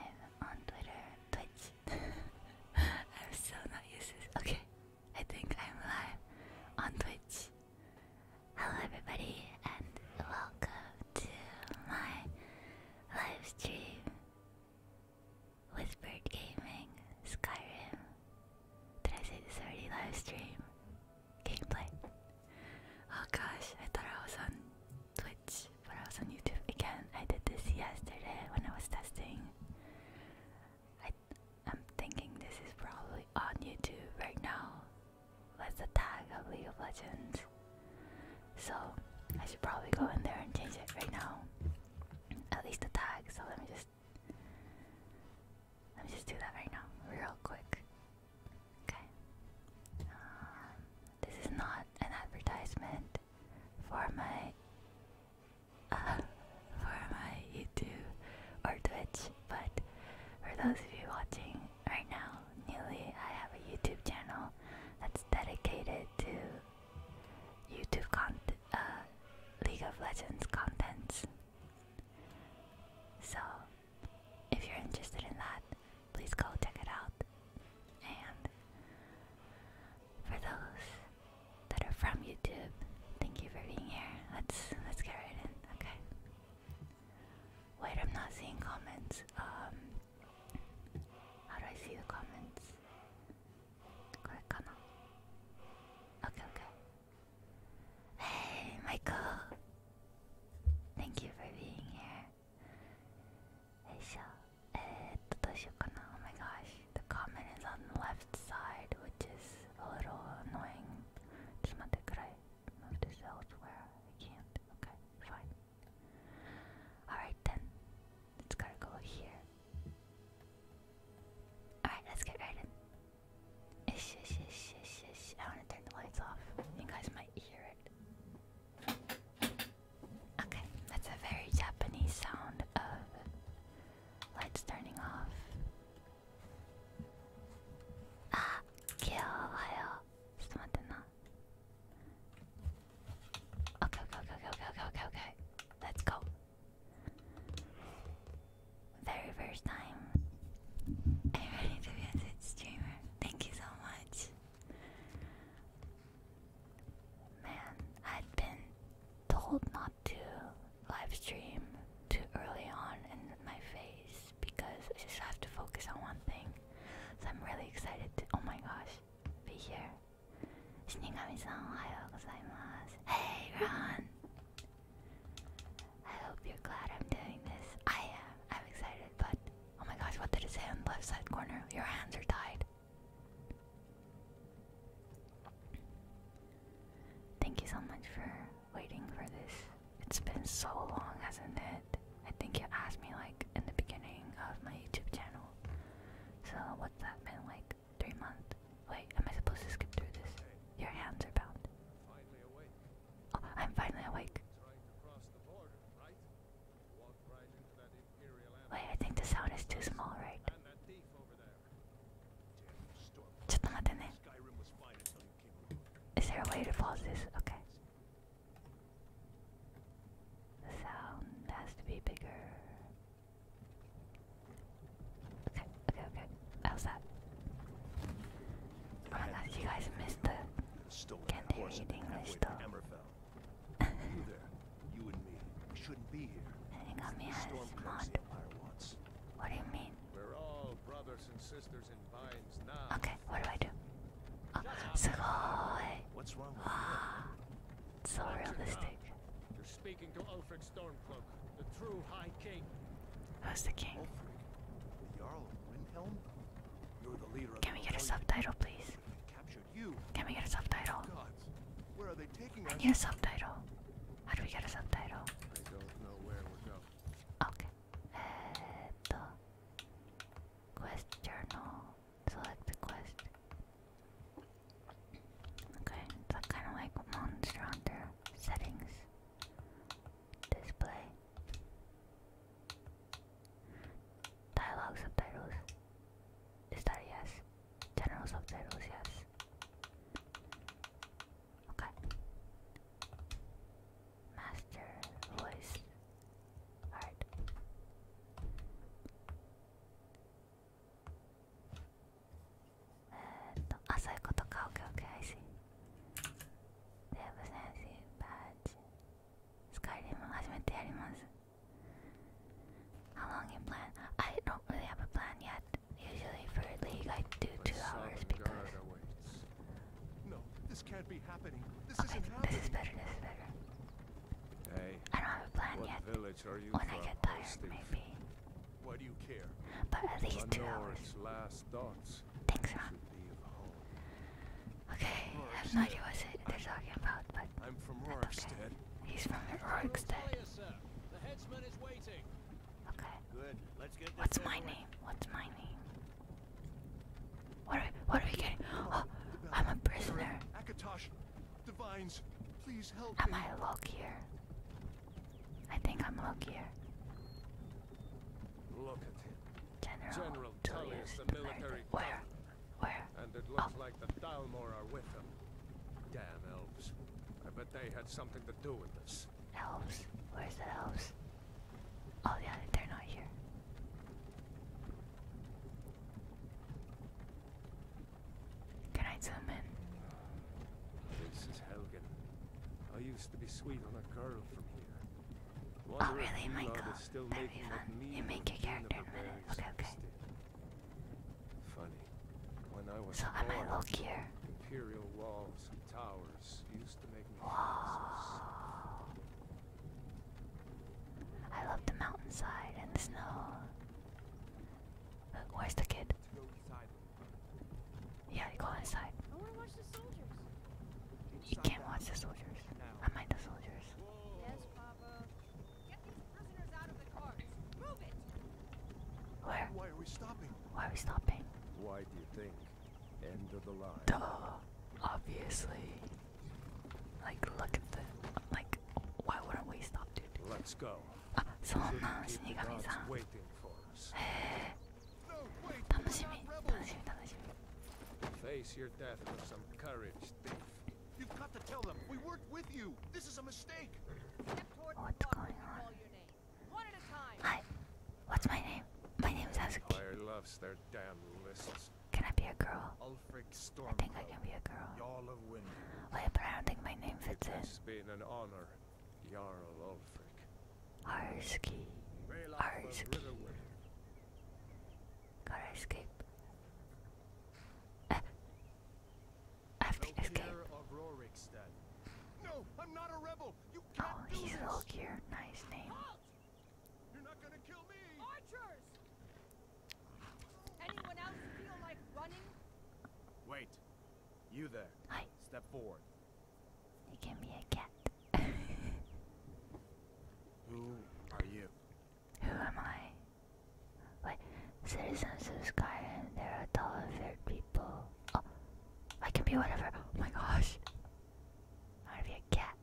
on Twitter, Twitch. I'm still not used to Okay, I think I'm live on Twitch. Hello, everybody, and welcome to my live stream with Bird Gaming Skyrim. Did I say this already? Live stream gameplay. Oh gosh, I thought I was on Twitch, I was on YouTube? Again, I did this yesterday when I was testing. I, am thinking this is probably on YouTube right now. That's the tag of League of Legends. So I should probably go in there and change it right now. At least the tag. So let me just let me just do that right now, real quick. Okay. Um, this is not an advertisement for my for my YouTube or Twitch, but for those of you watching right now, newly, I have a YouTube channel that's dedicated to YouTube content, uh, League of Legends contents. So, if you're interested in that, please go check it out. And for those that are from YouTube, thank you for being here. Let's let's get right in. Okay. Wait, I'm not seeing comments. Um, how do I see the comments? Click on. Okay, okay. Hey, Michael. Thank you for being here. Hey eh, Shell. oh my gosh. The comment is on the left side, which is a little annoying. Just not could I move this elsewhere? I can't. Okay, fine. Alright then. It's gotta go here. Alright, let's get right in. Ish, ish, ish, ish, ish. I wanna turn the lights off. You guys might hear it. Okay, that's a very Japanese sound of lights turning off. Ah, kill, just wait Okay, okay, okay, okay, okay, okay, okay. Let's go. Very first time. I'm ready to be streamer. Thank you so much. Man, I'd been told not to live too early on in my phase because I just have to focus on one thing. So I'm really excited to oh my gosh, be here. Shinigami-san, Hey, Ron! I hope you're glad I'm doing this. I am. I'm excited, but oh my gosh, what did it say on left side corner? Your hands are tied. Thank you so much for waiting for this. It's been so long, hasn't it? I think you asked me like in the beginning of my YouTube channel. So what's that been like? Three months? Wait, am I supposed to skip through this? Your hands are bound. Finally awake. Oh, I'm finally awake. Wait, I think the sound is too small, right? ちょっと待ってね Is there a way to pause this? Okay. The sound has to be bigger. Okay, okay, okay. How's that? Oh my gosh, you guys missed the Can't read you and me. shouldn't be here. Hang on, man. What do you mean? We're all brothers and sisters in binds now. Okay, what do I do? Oh, What's wrong with ah, you? So realistic. You're speaking to Ulfric Stormcloak, the true High King. Who's the king? Ulfric, the Jarl of Windhelm? Can we get a subtitle, please? Can we get a subtitle? Where are they taking I need a subtitle. How do we get a subtitle? I don't know where we're going. Okay. Eto. Quest journal. Select the quest. Okay, that's kind of like Monster Hunter settings. Display. Dialogue subtitles. Is yes? ya no los observas. Okay. Master voice art. Uh, no, ah, so okay, okay, I see. They have a badge. スカイリム初めてやります How long you plan? I don't really have a plan yet. Usually for a league I do two hours because No, this can't be happening. This isn't happening. This is better, this is better. Hey, I don't have a plan yet. When I get tired maybe. Why do you care? But at least two hours. Thanks, Ron. Okay, I have no idea what they're talking about, but I'm from Rorikstead. He's from Rorikstead. The headsman is waiting. Okay. Good. Let's get What's my name? What's my name? What are what are we getting? Oh, I'm a prisoner. Akatosh, divines, please help Am me. I luckier? I think I'm luckier. Look at him. General, General Tullius, the military. Where? Where? And it looks oh. like the Dalmor are with them. Damn elves. I bet they had something to do with this. Elves? Where's the elves? Oh yeah, they're not here. Can I zoom in? This is Helgen. I used to be sweet on a girl from here. oh really, Michael? That'd be fun. You make your character in a minute. Okay, okay. Funny. When I was so born, am I luckier? Imperial walls and towers used to make me wow. I love the mountainside and the snow. where's the kid? Yeah, you go inside. I wanna watch the soldiers. You can't watch the soldiers. I mind the soldiers. Yes, Papa. Where? Why are we stopping? Why are we stopping? Why do you think? End of the line. Duh. Obviously. Like, look at the. Like, why wouldn't we stop, dude? Let's go. Ah, so Shinigami-san. waiting for us. Hey. Eh. No, wait, Face your death with some courage, thief. You've got to tell them we worked with you. This is a mistake. What's going on? Hi. What's my name? My name is Azuki. loves their damn lists. Can I be a girl? I think I can be a girl. Wait, but I don't think my name fits it in. It's been an honor, Jarl Ulfric. Arski. escape. I have to escape. No, I'm not a rebel. oh, he's this. Olgir. Nice name. You're not gonna kill me. Archers! Wait. You there. Hi. Step forward. You give me a cat. Who are you? Who am I? Wait, citizens of Sky, and there are television people. Oh, I can be whatever. Oh my gosh. I am going to be a cat.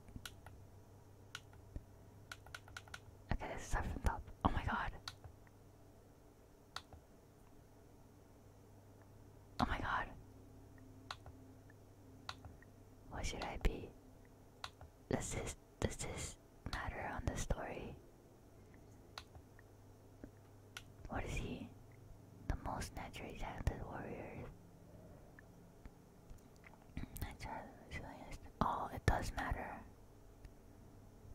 Okay, let's start Oh my god. Oh my god. What should I be? This is does this matter on the story? What is he? The most natural talented warrior. Oh, it does matter.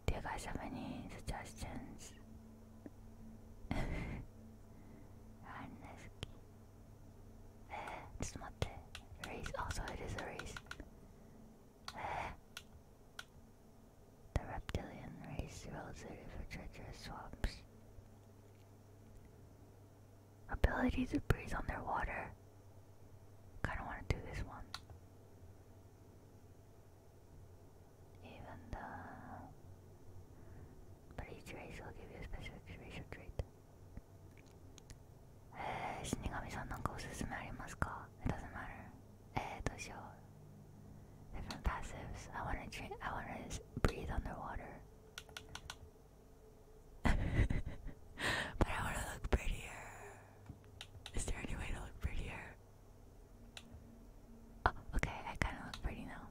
Do you guys have any suggestions? Eh, race. Also, it is a race. The reptilian race rules it for treacherous swamps. Ability to breathe underwater. Kinda wanna do this one. Even the but each race will give you specific racial trait. えー、死神さんなんかおすすめありますか eh, It doesn't matter eh, those different passives. I wanna drink. I wanna breathe underwater. but I wanna look prettier. Is there any way to look prettier? Oh, okay. I kinda look pretty now.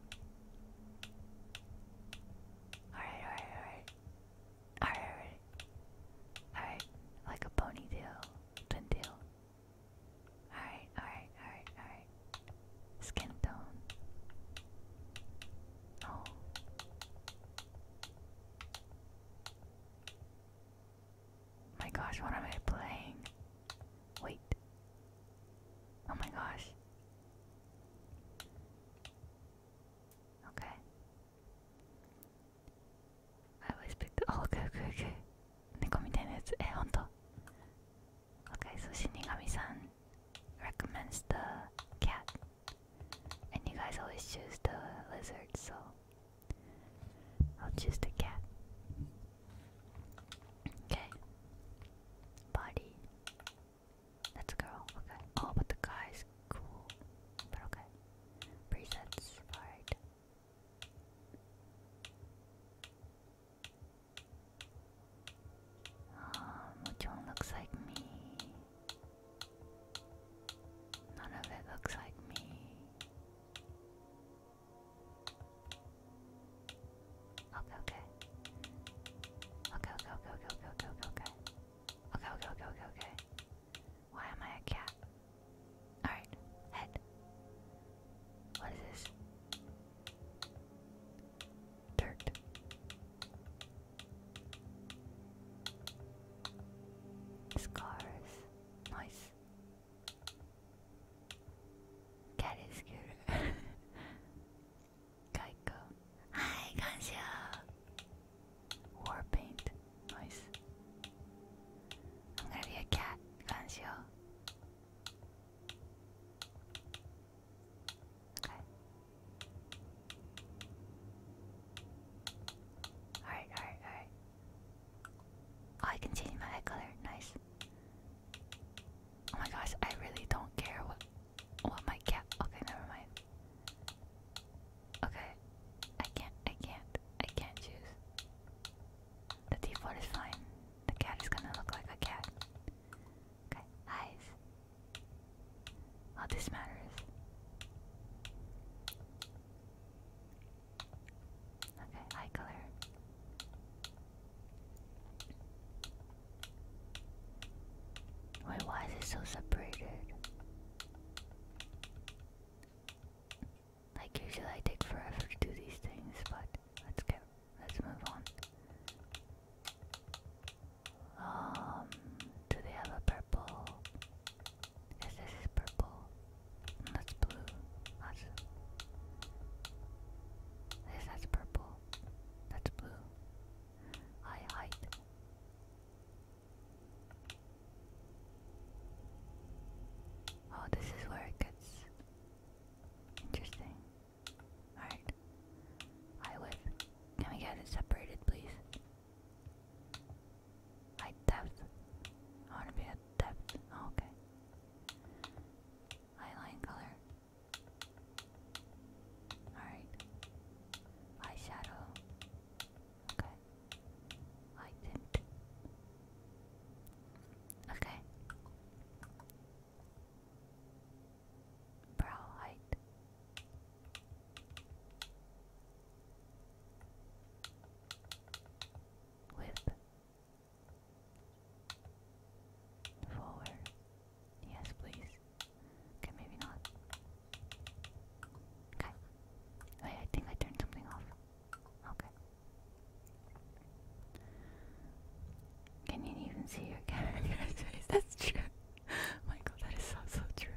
alright, alright. Alright, alright. Alright, like a ponytail, twin Alright, alright, alright, alright. Skin tone. Oh. My gosh, what am I playing? Wait. Oh my gosh. Okay. I always pick the. Oh, okay, okay, okay. 猫みたいなやつ。え、ほんと eh, Okay, so Shinigami-san recommends the cat. And you guys always choose the lizard, so I'll choose the cat. Okay. Body. That's a girl. Okay. Oh, but the guy's cool. But okay. Presets. Alright. Um, which one looks like me? None of it looks like me. okay. Okay, okay, okay, okay, okay, okay, okay. Okay, okay, okay, okay, okay. Why am I a cat? Alright, head. What is this? Dirt. Scars. Nice. Cat is good. Geico. Hi, Gansha. War paint. Nice. I'm gonna be a cat, Okay. Alright, alright, alright. Oh, I can change my eye color. Nice. Oh my gosh, I really don't care what what my cat okay, never mind. Okay. I can't I can't I can't choose. The default is fine. The cat is gonna look like a cat. Okay, eyes. Oh, this matters. Okay, eye color. Wait, why is it so separated? Like usually I take forever to do these things, but let's go. let's move on. Um do they have a purple? Yes, this is purple. Mm, that's blue. That's this that's purple. That's blue. I hide. Oh, this is where it gets interesting. Alright. I whip. Can we get it separated, please? I depth. I want to be at depth. Oh, okay. Eyeline color. Alright. Eyeshadow. Okay. I Okay. Brow height. Width. Forward. Yes, please. Okay, maybe not. Okay. Wait, I think I turned something off. Okay. Can you even see your character's face? That's true. Michael, that is so, so true.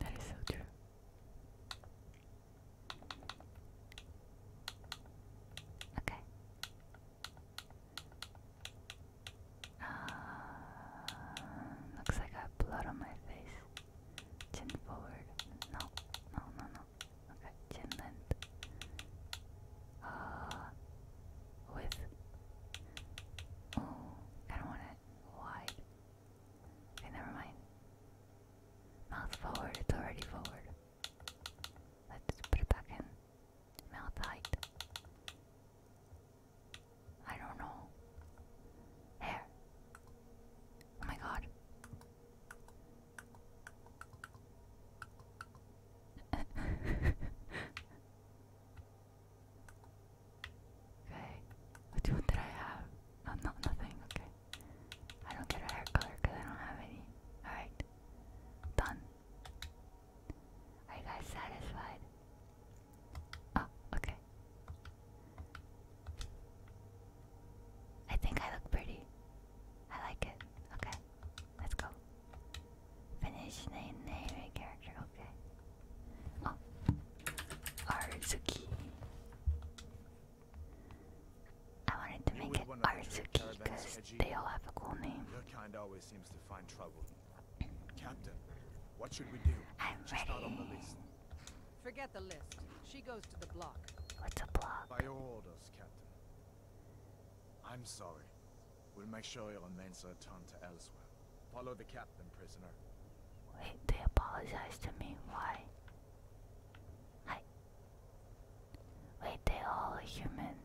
That is so true. Okay. Um, looks like I have blood on my face. Chin forward. No, no, no, no. Okay, chin length. Uh, width. Oh, I don't want it wide. Okay, never mind. Mouth forward, it's already forward. Let's put it back in. Mouth height. I don't know. Hair. Oh my god. okay. What, what I have? Oh, no, nothing. Okay. I don't get a hair color because I don't have any. Alright. Done. Are you guys satisfied? Oh, okay. I think I look pretty. I like it. Okay, let's go. Finish name, name, character. Okay. Oh, Arzuki. I wanted to you make it Arzuki because they all have a cool name. Your kind always seems to find trouble. Captain, what should we do? I'm Just ready. on the list. Forget the list. She goes to the block. What's a block? By your orders, Captain. I'm sorry. We'll make sure your men are turned to elsewhere. Follow the captain, prisoner. Wait, they apologize to me. Why? I. Wait, they all human.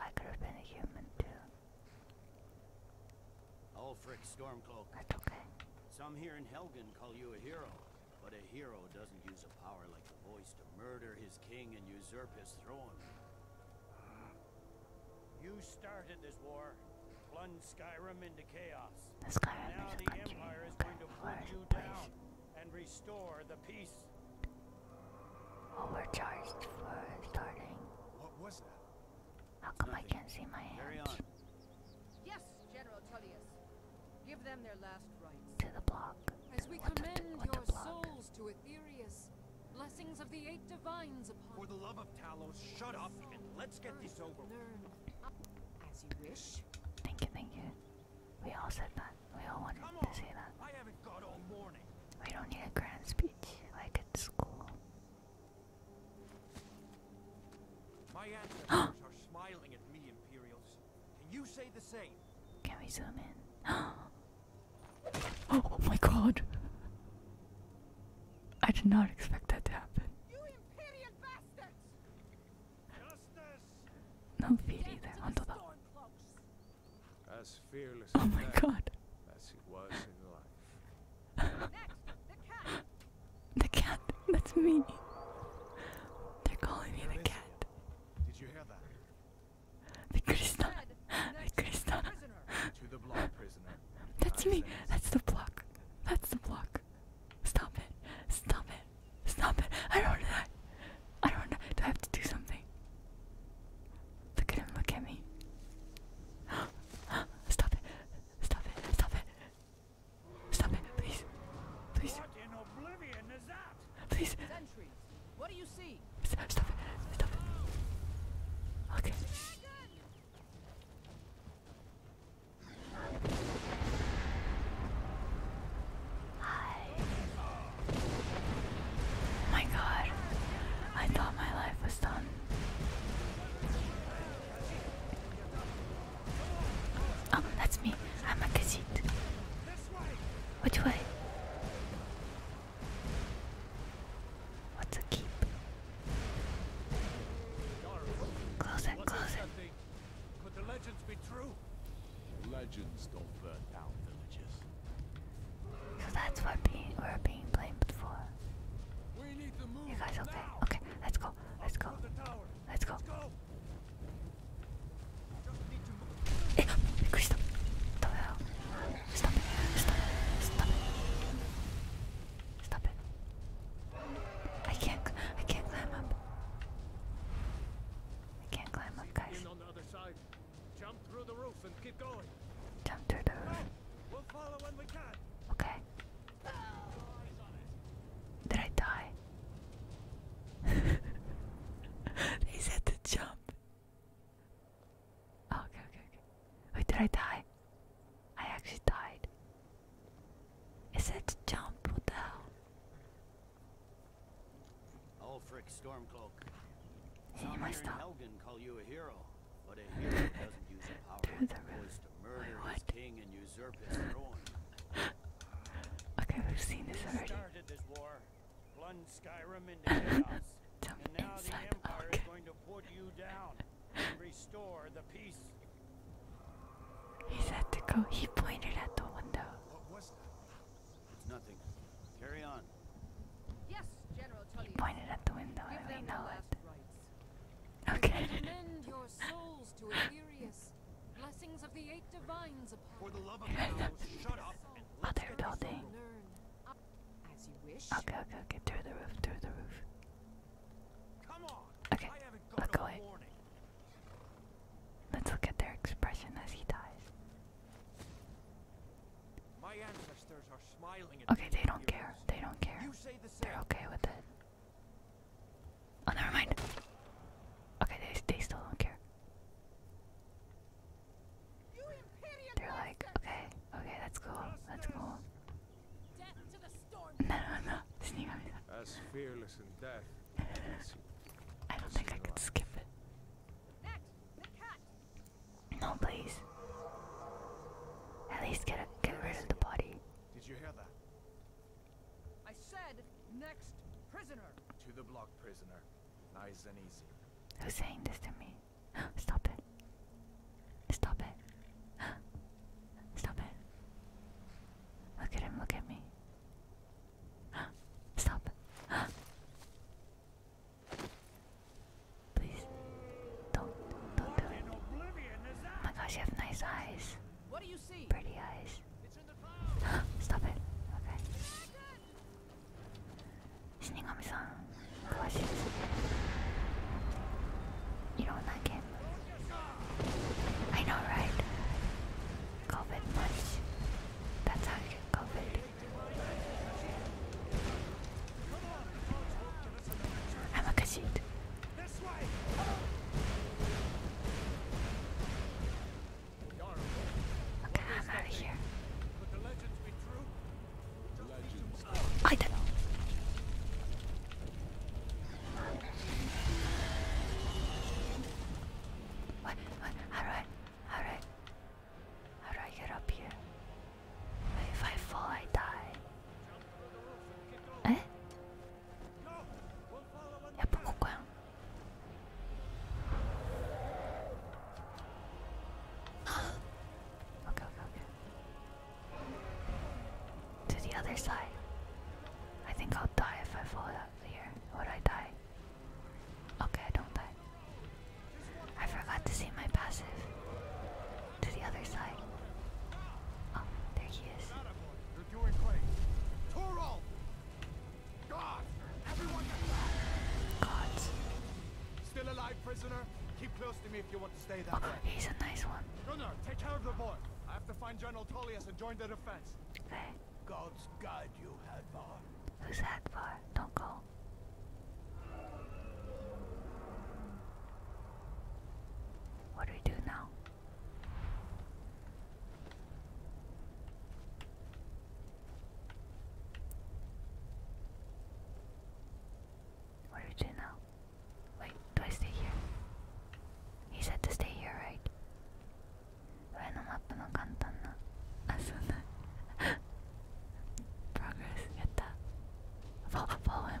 I could have been a human too. Ulfric Stormcloak. Some here in Helgen call you a hero, but a hero doesn't use a power like the voice to murder his king and usurp his throne. You started this war, plunged Skyrim into chaos. Skyrim now the Empire is going to put you down and restore the peace. Overcharged for starting. What was that? How come I can't see my hands? Yes, General Tullius. Give them their last rites. To the block. As we commend your souls to Aetherius, blessings of the eight divines upon For the love of Talos, shut up and let's get this over with. As you wish. Thank you, thank you. We all said that. We all wanted to say that. We don't need a grand speech like at school. My ancestors are smiling at me, Imperials. Can you say the same? Can we zoom in? oh my god. I did not expect that to happen. You imperial bastards! No fear either. Onto that. As oh my god the cat. That's me. They're calling me the cat. Did you hear that? The Krishna. The To the block, prisoner. That's me. That's the block. That's the block. Stop it. Stop it. Stop it. I don't want to I don't want to Do I have to do something? Look at him. Look at me. Stop it. Stop it. Stop it. Stop it, please. Please. What in oblivion is Please. Stop, it. Stop it. Okay. Hi. my god. I thought my life was done. Oh, that's me. I'm a cassette. Which way? What's a keep? Close it, close it. Could the legends be true? Legends don't burn down villages. So that's what we're being blamed for. We need to move you guys okay? Okay, let's go. Let's go. Let's go. Stop it Stop it Stop it Stop it I can't I can't climb up I can't climb up guys Jump through the roof Okay did I die? they said to jump. Oh, okay, okay, okay. Wait, did I die? I actually died. It said to jump. What the hell? Ulfric Stormcloak. Hey, Some here Wait, what? okay, we've seen this already. This war, chaos, Tell the Empire okay. is going to put you down and restore the peace. He said to go. He pointed at the window. What was that? It's nothing. Carry on. Yes, General Tully. He pointed at the window, Give and we know it. Rights. Okay. Commend your souls to Illyrius. Blessings of the eight divines For the love of God, shut up and Other building. As Okay, okay, okay. Through the roof, through the roof. Okay, let's Let's look at their expression as he dies. Okay, they don't care. They don't care. They're okay with it. Oh, never mind. Okay, they, they still don't care. They're like, okay, okay, that's cool, that's cool. No, no, no, fearless in death. I don't think I could skip it. No, please. At least get a, get rid of the body. Did you hear that? I said next prisoner. To the block, prisoner. Nice and easy. Who's saying this to me? Stop it. Stop it. Stop it. Look at him, look at me. Stop. Please. Don't. Don't do it. Oh my gosh, you have nice eyes. What do you see? Pretty eyes. It's in the clouds. Stop it. Okay. Shinigami-san, You know I know, right? COVID That's how you get COVID. I'm a kajit. Okay, I'm out of here. I did. What? What? All right. All right. How do I get up here? If I fall, I die. Eh? To the other side. I think I'll die if I fall out here. Would I die? Okay, I don't die. I forgot to see my passive. To the other side. Oh, there he is. You're doing great. Toro! God! Everyone God. Still alive, prisoner? Keep close to me if you want to stay that way. He's a nice one. Runner, take care of the boy. I have to find General Tullius and join the defense. God's guide you, Hadvar. Who's Hadvar? Don't go. What do we do now? What do we do now? Wait, do I stay here? He said to stay here, right? 上のマップの簡単なあそんな progress やった follow, follow him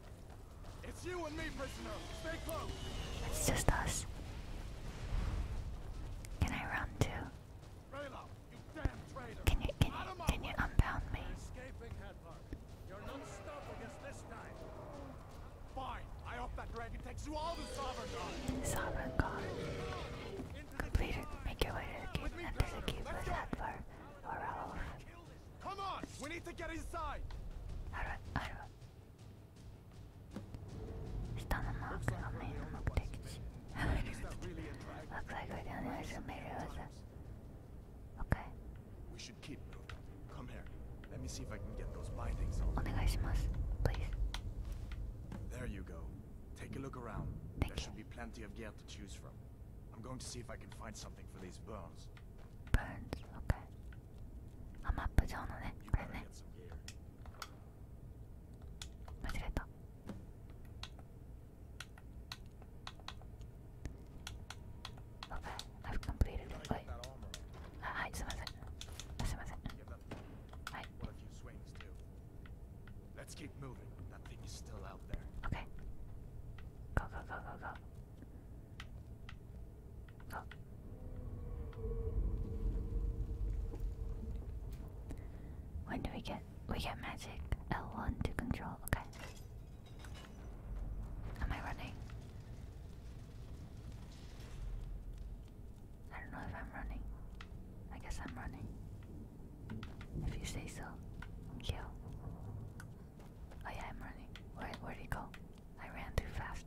It's you and me, prisoner. Stay close. It's just us. Can I run too? Rayla, you damn traitor. Can you can you, Escaping Headler. You're not stopping this time. Fine. I hope that dragon takes you all to Sovereign Sovereign God. Complete Make your way to the gate and the keep with Headler or Ralph. Come on, we need to get inside. Looks like we're the only ones who made it Okay. We should keep Come here. Let me see if I can get those bindings on. please. There you go. Take a look around. there should be plenty of gear to choose from. I'm going to see if I can find something for these bones. Bones, okay. I'm up to Okay, I've completed it. Uh, hi, Hi. What a few swings do. Let's keep moving. That thing is still out there. Okay. Go, go, go, go, go. Oh. When do we get we get magic L1 to control? Okay. Am I running? I don't know if I'm running. I guess I'm running. If you say so, kill. Oh yeah, I'm running. Where where'd he go? I ran too fast.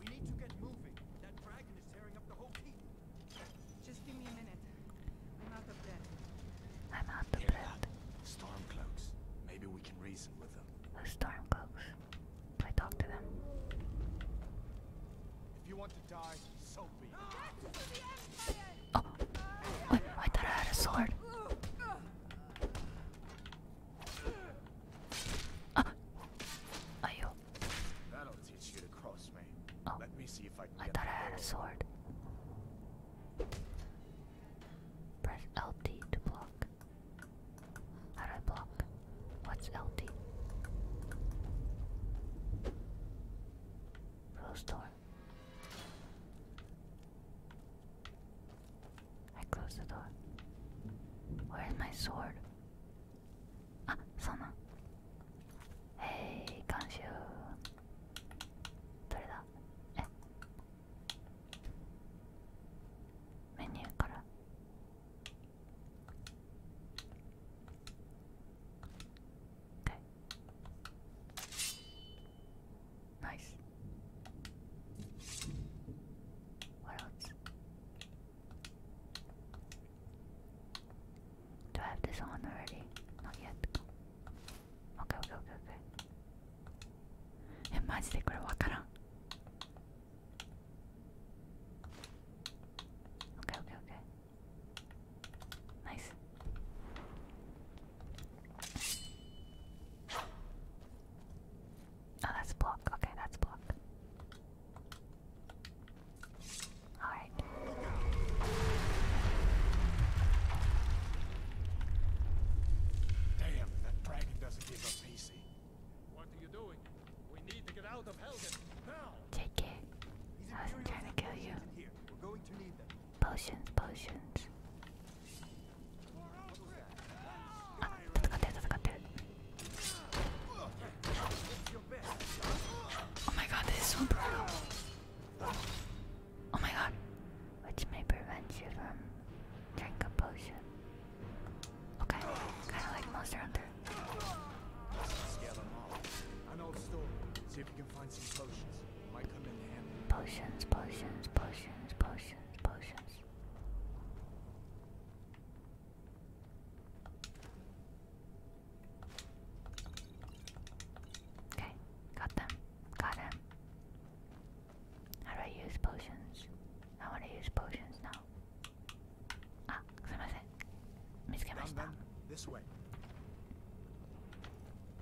We need to get moving. That dragon is tearing up the whole team. Just give me a minute. I'm out of breath. I'm out of Hear Stormcloaks. Maybe we can reason with them. The stormcloaks. I talk to them. If you want Oh, I thought I had a sword. Ah, are you? Oh, I thought I had a sword. Press LT to block. How do I block? What's LT? Close door. I close the door. Where's my sword? あそうなん。えい、ー、監修。どれだえメニューから。Okay. Nice. What else? Do I have this on already? Not yet. Okay, okay, okay, okay. え、マジでこれわからん。Okay, okay, okay. Nice. Oh, that's block. Okay, that's block. Alright. Damn, that dragon doesn't give up easy. What are you doing? We need to get out of Helgen Take it. I was trying to kill you potions, potions. あ、戦ってる戦ってる。Oh ah, my god, this is so brutal. Oh my god. Which may prevent you from drinking a potion. Okay, kind of like Monster Hunter. Scale them off. An old store. See if you can find some potions. Potions, potions, potions, potions, potions. Okay, got them. Got him. How do I use potions? I want to use potions now. Ah, This way.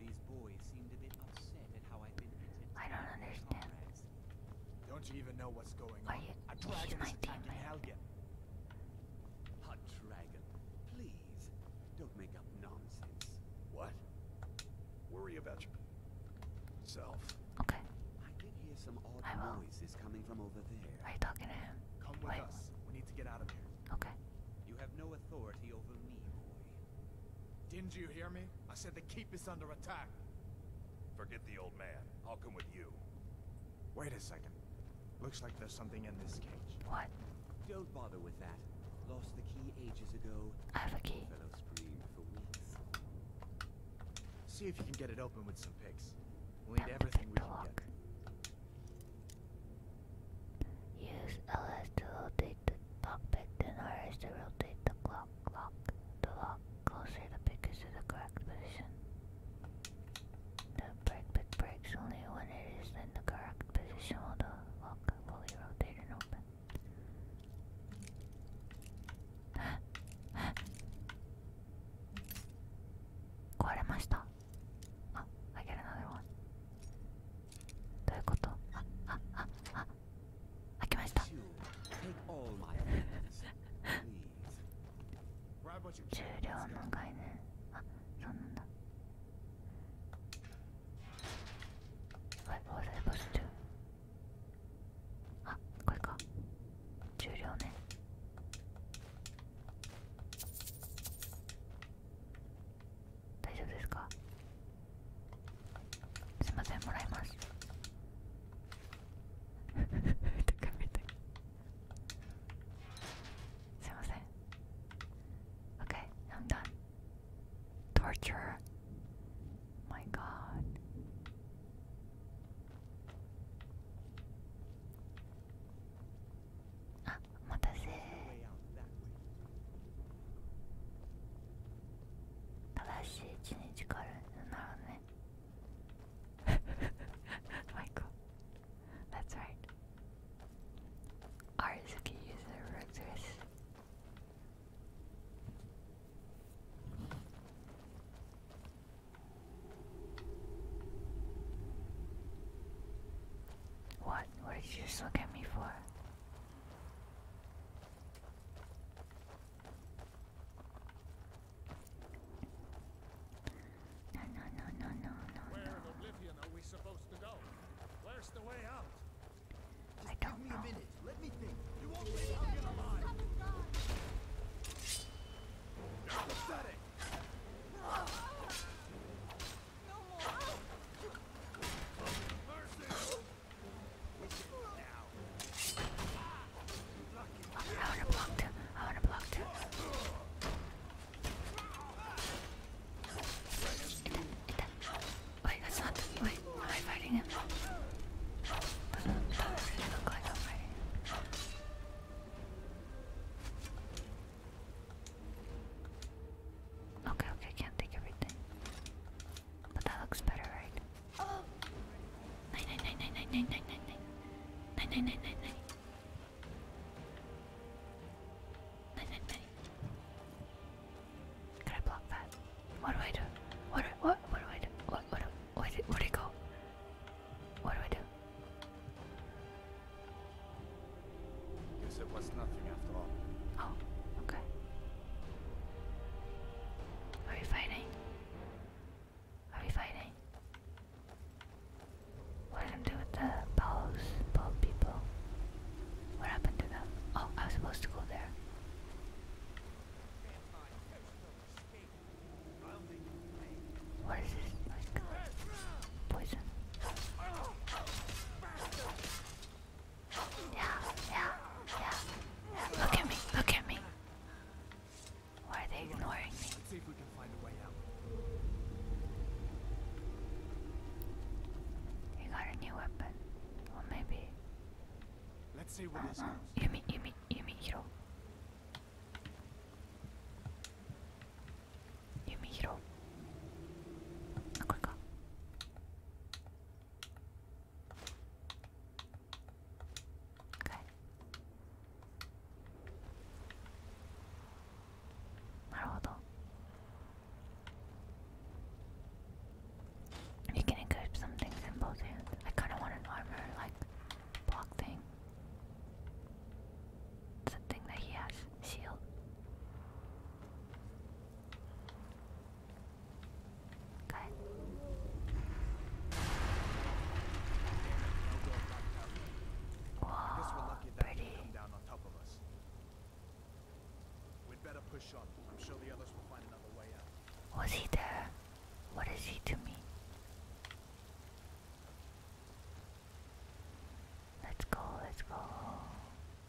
These boys seemed a bit upset at how I've been I don't understand. Don't you even know what's going Are on? You a dragon is attacking Helga. A dragon. Please, don't make up nonsense. What? Worry about yourself. Okay. I did hear some odd noises coming from over there. Are you talking to him? Come with us. We need to get out of here. Okay. You have no authority over me, boy. Didn't you hear me? I said the keep is under attack. Forget the old man. I'll come with you. Wait a second. Looks like there's something in this cage. What? Don't bother with that. Lost the key ages ago. have a key. Fellow screamed for weeks. See if you can get it open with some picks. We'll need everything we can get. Use LS to rotate the cockpit, then RS to rotate the clock, clock, the lock closer the pickers to the correct position. The brake pit breaks only when it is in the correct position while the lock fully rotate and open. 壊れました ああ I get a n o t h どういうことあああああきました重量の概念あそうなんだ What was I supposed to do? あこれか重量ね大丈夫ですかすいませんもらいますとか見てすいません Okay, I'm done. Torture. My God. あお待たせ正しい一日からなるね Michael, that's right. Arzuki user What? What did you just look at me for? No, no, no, no, no, no, Where's the way out? I don't know. I wanna block too. I wanna block too. And then, and then. Wait, that's not. Wait, am I fighting him? Doesn't, doesn't really look like I'm fighting him. Okay, okay, can't take everything. But that looks better, right? Oh. Can I block that? What do I do? What do I, what what do I do? What what do, where did where did it go? What do I do? Guess it was nothing after all. Oh, okay. Are we fighting? Are we fighting? What did I do with the bows, bow people? What happened to them? Oh, I was supposed to go there. What is this? poison. Yeah, yeah, yeah. Look at me, look at me. Why are they ignoring me? Let's see if we can find a way out. got a new weapon. Well, maybe. Let's see what this goes. Yumi, Yumi, Yumi, Hiro. Yumi, Hiro. Quick, Okay. You can equip some in both hands. I kinda want an armor like block thing. It's that he has. Shield. Good. I'm sure the others will find another way out. Was he there? What is he to me? Let's go, let's go.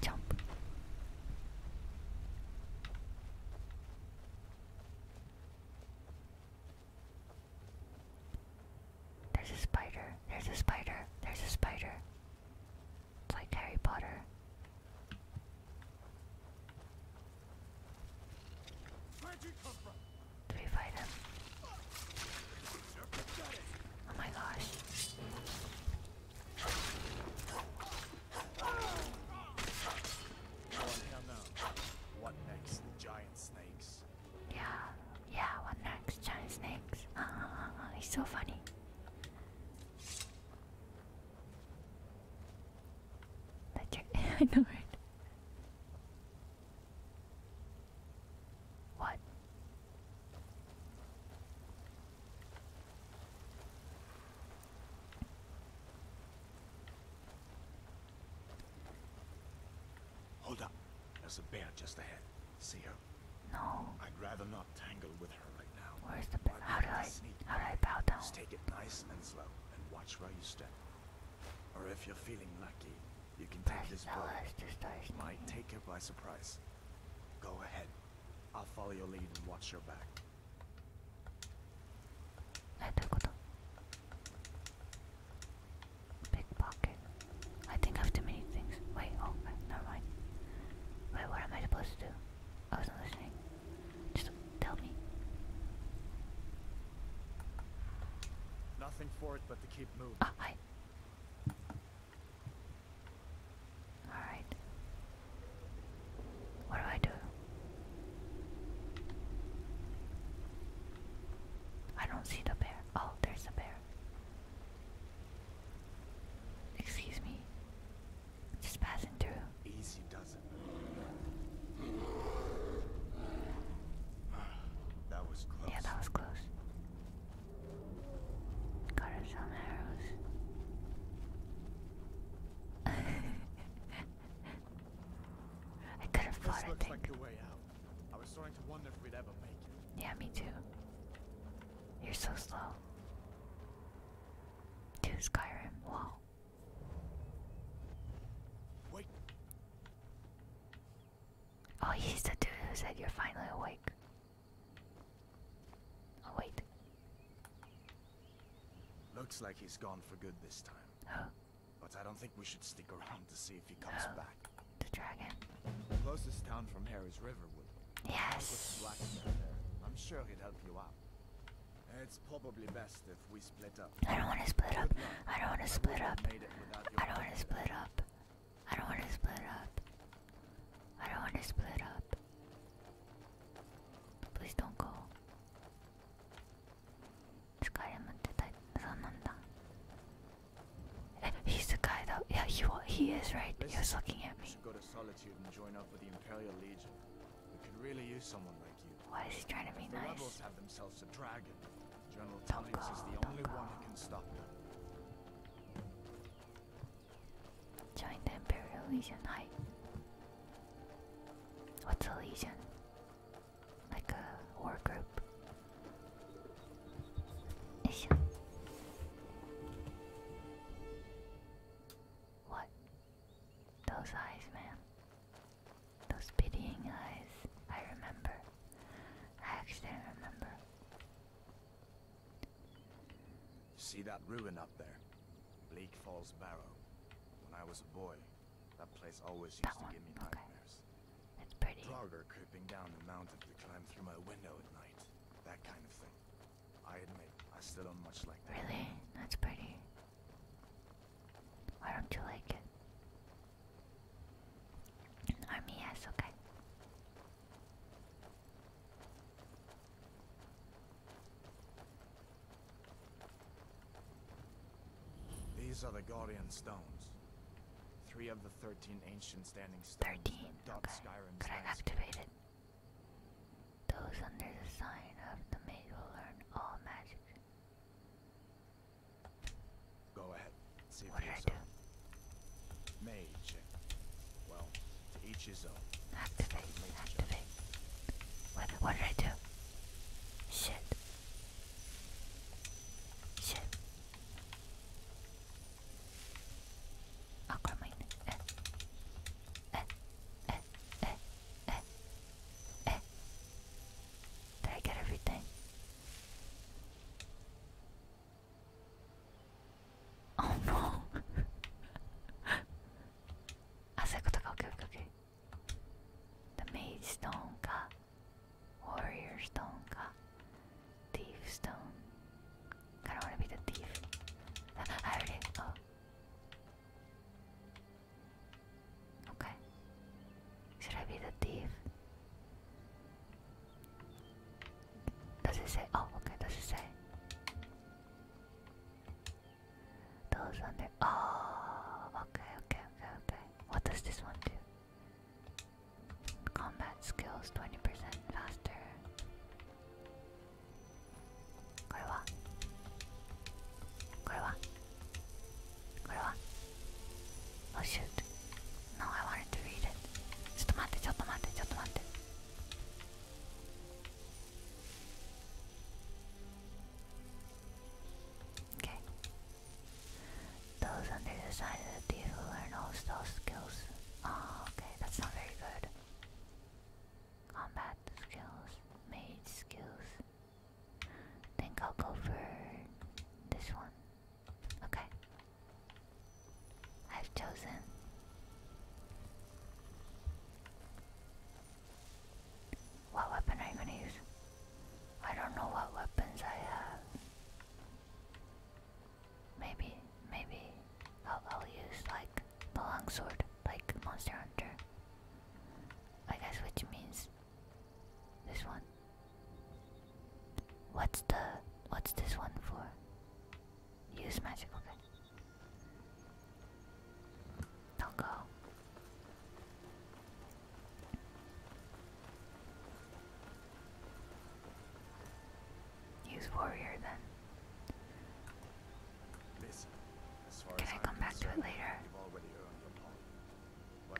Jump. There's a spider. There's a spider. There's a spider. It's like Harry Potter. Do we fight him? Oh my gosh. What next? Giant snakes. Yeah, yeah, what next? Giant snakes. Uh, it's so funny. I know right. What? Hold up. There's a bear just ahead. See her? No. I'd rather not tangle with her right now. Where's the bear? How do I, sneak? how do I bow down? Just take it nice and slow and watch where you step. Or if you're feeling lucky, you can take this bird. Might take her by surprise. Go ahead. I'll follow your lead and watch your back. えどういうこと Big pocket. I think I have too many things. Wait, oh, never mind. Wait, what am I supposed to do? I wasn't listening. Just tell me. Nothing for it but to keep moving. Ah, hi. Alright. What do I do? I don't see the bear. Oh, there's a bear. Excuse me. Just passing through. Yeah, that was close. Got some arrows. I could have fought, I think. Like the way out. I was starting to wonder if we'd ever make it. Yeah, me too. You're so slow. To Skyrim, wow. Oh, he's the dude who said you're finally awake. Oh, wait. Looks like he's gone for good this time. Huh? But I don't think we should stick around to see if he comes back. The dragon. The closest town from here is Riverwood. Yes. I'm sure he'd help you out. It's probably best if we split up. I don't want to split up. I don't want to split up. I don't want to split up. I don't want to split up. I don't want to split up. he's the guy though. Yeah, he he is right. He was looking at me. Go to solitude and join up with the Imperial Legion. We could really use someone like you. Why is he trying to be the rebels have themselves a dragon. General Tullius is the only one who can stop them. Join the Imperial Legion. Hi. What's a legion? Like a war group. Issue. What? Those eyes, man. Those pitying eyes. I remember. I actually remember. See that ruin up there? Bleak Falls Barrow. When I was a boy, that place always used to give me nightmares. That's pretty. Draugr creeping down the mountain to climb through my window at night. That kind of thing. I admit, I still don't much like that. Really? That's pretty. Why don't you like it? An army, okay. These are the Guardian Stones. Three of the 13 ancient standing stones 13, that okay. Skyrim's Could I activate it? Those under the sign of the mage will learn all magic. Go ahead. what did I Mage. Well, each his own. Activate, activate. What, what did I do? Shit. Shit. Aquaman. Eh. Eh. eh. eh. Eh. Eh. Did I get everything? Oh no. あそういうことか OKOKOK The Mage Stone か Warrior Stone か Thief Stone I do wanna be the thief ah, I heard oh Okay Should I be the thief? Does it say? Oh, okay, does it say? Those under. Oh, okay, okay, okay, okay. What does this one do? Combat skills 20% faster. Korewa. Korewa. Korewa. Oh shoot. No, I wanted to read it. ちょっと待って、ちょっと待って、ちょっと待って。Okay. Those under the side of the deer who learn those skills. Oh, okay, that's not very good. Combat skills, mage skills. Think I'll go for this one. Okay. I've chosen. What weapon are you gonna use? I don't know what weapons I have. Maybe, maybe I'll, use like the long sword, like Monster Hunter. I guess which means this one. What's the what's this one for? Use magic, okay. Don't go. Use warrior then. Can I come back to it later?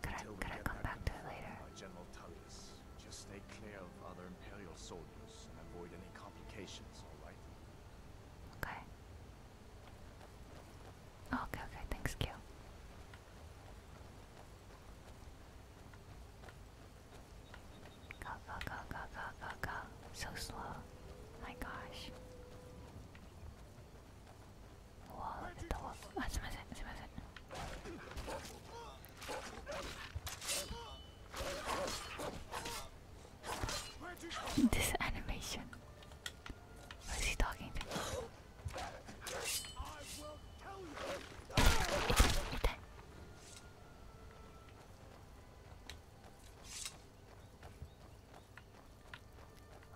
Could I, could I come back to it later? General Tullius, just stay clear of other Imperial soldiers and avoid any complications, alright? Okay. Oh, okay, okay, thanks, Q. Go, go, go, go, go, go, go. So slow. My gosh. Whoa, the wall. Oh, ah, it's this animation. What is he talking to? Itai,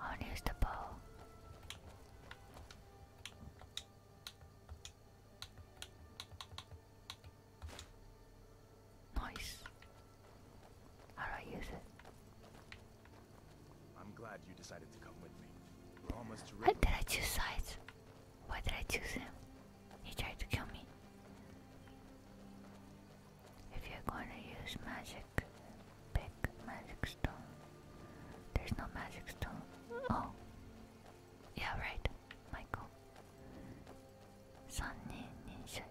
I want the ball. Nice. How do I use it? I'm glad you decided to come with me. We're almost to Why did I choose sides? Why did I choose him? He tried to kill me. If you're going to use magic, pick magic stone. There's no magic stone. Oh. Yeah, right, Michael. Sunny Ninja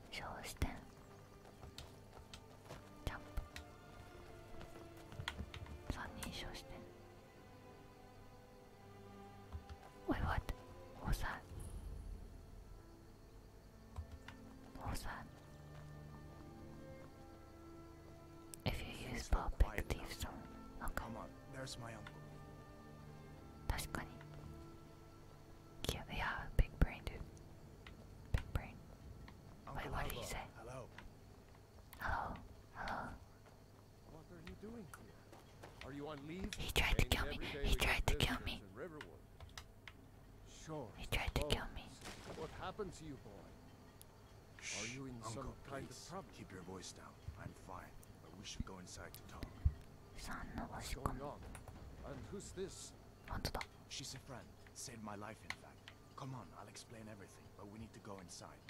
ジャンプ3人称して Wait, what? What was that? What was that? If you use bow, pick thief stone. Okay. Come on, there's my uncle. 確かに Yeah, big brain, dude. Big brain. Oh, Wait, what did he say? Hello. Hello. Hello. What are you doing Are you on leave? He tried to kill me. He tried to kill me. Sure. He tried to kill me. What happened to you, boy? are you in Uncle, some kind please. of problem? Keep your voice down. I'm fine, but we should go inside to talk. What's going on? And who's this? 本当だ She's a friend. Saved my life, in fact. Come on, I'll explain everything, but we need to go inside.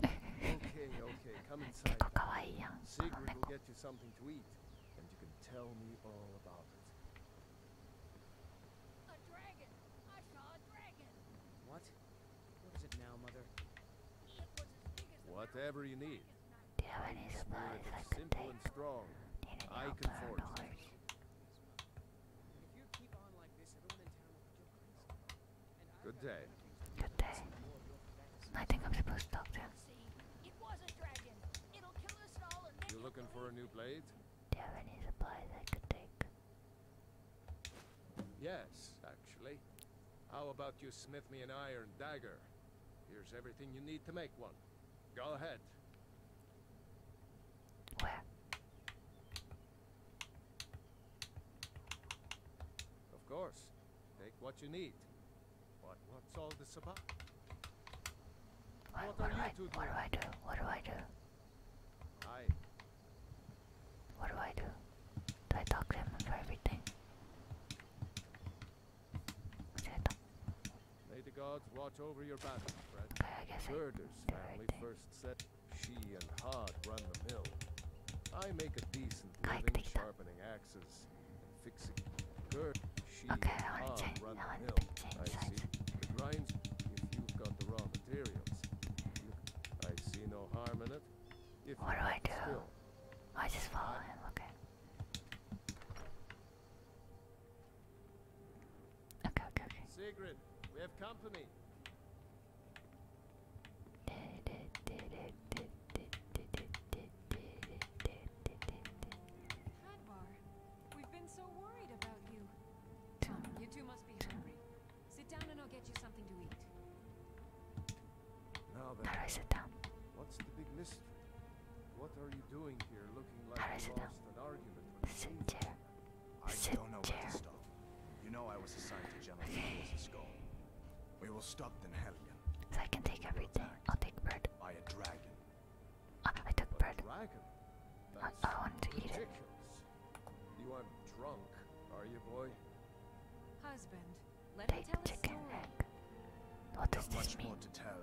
okay, okay, come inside. Sigrid will get you something to eat, and you can tell me all about it. A dragon! I saw a dragon! What? What is it now, Mother? Whatever you need. Do you have any supplies I could take? Need any help around Good day. Good day. I I'm supposed to talk to You looking for a new blade? Do you have any supplies I could take? Yes, actually. How about you smith me an iron dagger? Here's everything you need to make one. Go ahead. Where? Of course. Take what you need. But what's all this about? What, do, I, do What do I do? What do I do? Do I talk to him and everything? May the gods watch over your battle, friend. Okay, I family first set. She and Hod run the mill. I make a decent living sharpening axes and she Hod run the mill. I see. The grinds. If you've got the raw materials, I see no harm in it. If I do? I just follow him. Okay. Okay, okay, okay. Sigrid, we have company. Hadwar, we've been so worried about you. you two must be hungry. Sit down and I'll get you something to eat. Now then, How I sit down? What's the big mystery? What are you doing here looking like you lost an argument? Sit there. I don't know where to stop. You know I was assigned to Jonathan okay. as We will stop then Hellion. I can take everything. I'll take bird. By a dragon. Oh, I took bird. dragon? That's I, I wanted to eat it. You are drunk, are you boy? Husband, let take me tell chicken a story. What does this mean?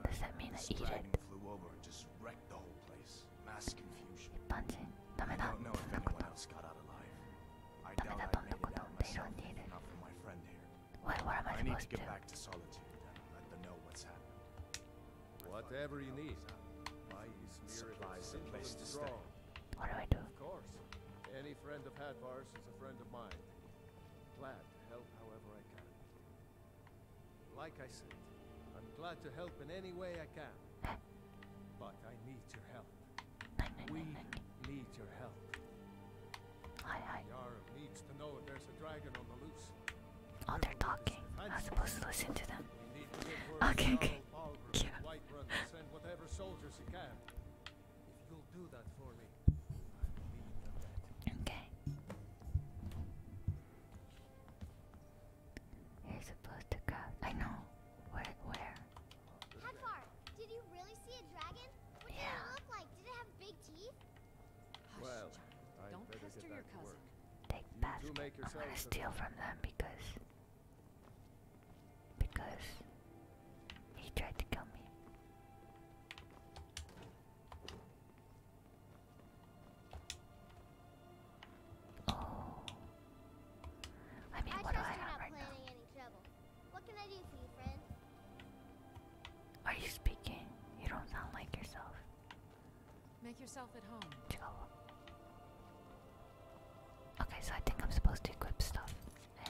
Does that mean I eat it? Flew over and just wrecked the whole place. Mass confusion. 一般人ダメだ。そんなこと。ダメだ。どんなこと。They don't need it. What, what am I supposed to do? Whatever you need. My supplies a place to stay. What do I do? Of course. Any friend of Hadvar's is a friend of mine. Glad to help however I can. Like I said, I'm glad to help in any way I can. But I need your help. We need your help. Yara needs to know if there's a dragon on the loose. Oh, they're talking. I'm supposed to listen to them. Okay, okay. Cute. Send whatever soldiers you can. If you'll do that for me, Okay. You're supposed to cut. I know. Where? Where? Hadvar, did you really see a dragon? What did it look like? Did it have big teeth? Hush, well, don't pester your cousin. Take you I'm gonna steal from them because because he tried to kill me. Oh. I trust you're not planning any trouble. What can I do for you, friend? Are you speaking? You don't sound like yourself. Make yourself at home. Okay, so I think I'm supposed to equip stuff. Uh,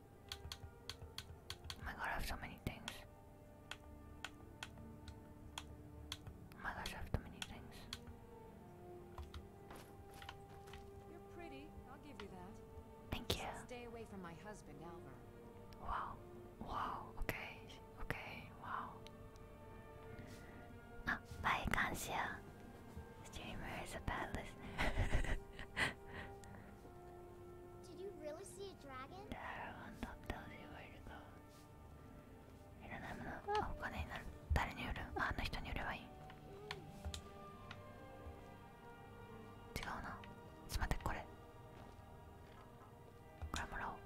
Oh my god, I have so many things. Oh my gosh, I have too many things. Thank you. Stay away from my husband, Alvar. Wow. Wow. Okay. Okay. Wow. Ah, bye, Kansha. Streamer is a bad listener. Did you really see a dragon? Dragon that tells you where to go. いらないものはお金になる。誰に売るあの人に売ればいい。違うな。ちょっと待って、これ。これもらおう。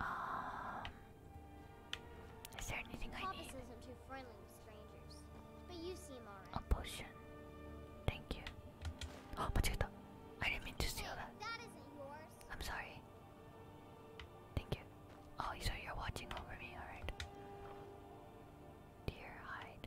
Um, is there anything I need? isn't too friendly with strangers, but you seem alright. A potion. Thank you. Oh, potato. I didn't mean to steal that. That isn't yours. I'm sorry. Thank you. Oh, so you're watching over me, alright. Dear hide.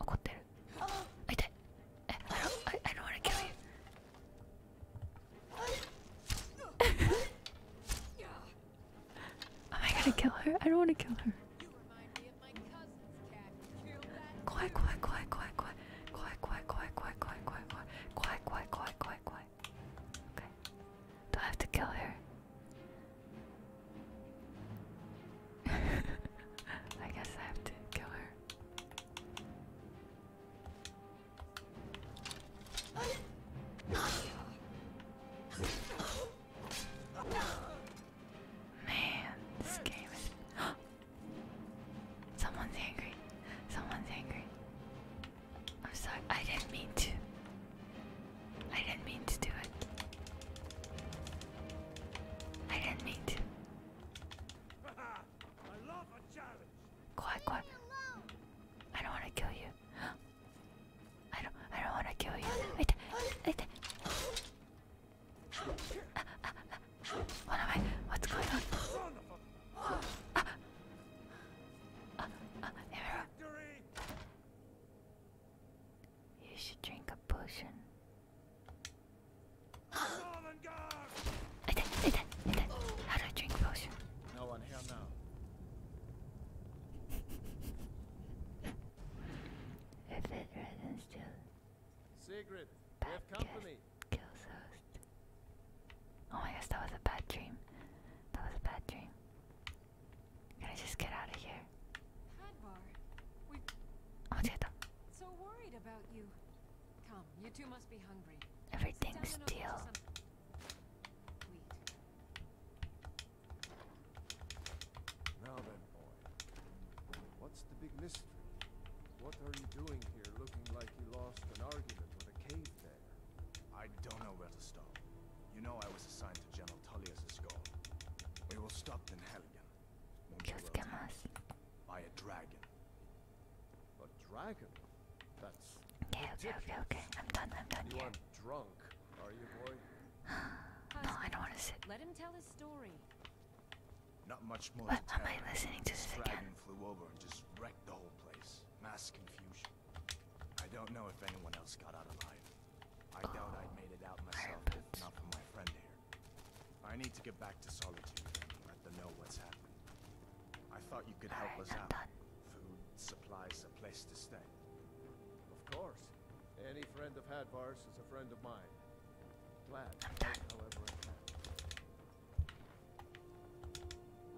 怒ってるあ痛いえ oh I, I don't wanna kill you Am I gonna kill her? I don't wanna kill her 怖い怖い怖い怖い怖い怖い怖い怖い怖い怖い怖い怖い怖い怖い怖い怖い Okay Do I have to kill her? I guess I have to kill her Man, this game is. Someone's angry. Someone's angry. I'm sorry. I didn't mean to. I didn't mean to do it. I didn't mean to. Quiet, quiet. I don't want to kill you. I don't. I don't want to kill you. Wait, wait. What am I? What's going on? you should drink a potion. I did, I How do I drink potion? No one here now. if it resin still. Sigrid, we have host. Oh my gosh, that was a bad dream. That was a bad dream. Can I just get out of here? Hadbar, we. So worried about you. Come, you two must be hungry. Everything still. Now then, boy. What's the big mystery? What are you doing here looking like you lost an argument with a cave bear? I don't know where to start. You know I was assigned to General Tullius' skull. We will stop in Helgen okay, okay, okay, okay. I'm done, I'm done. You here. are drunk, are you, boy? no, I don't want to sit. much more. What am I listening to again? don't know if anyone else got out alive. I oh, doubt i made it out myself not for my friend here. I need to get back to Solitude let them know what's happened. I thought you could help us out. Food, supplies, a place to stay. Of course. Any friend of Hadvar's is a friend of mine. Glad, however I can.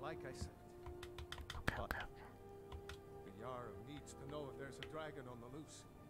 Like I said. Okay, okay. needs to know if there's a dragon on the loose.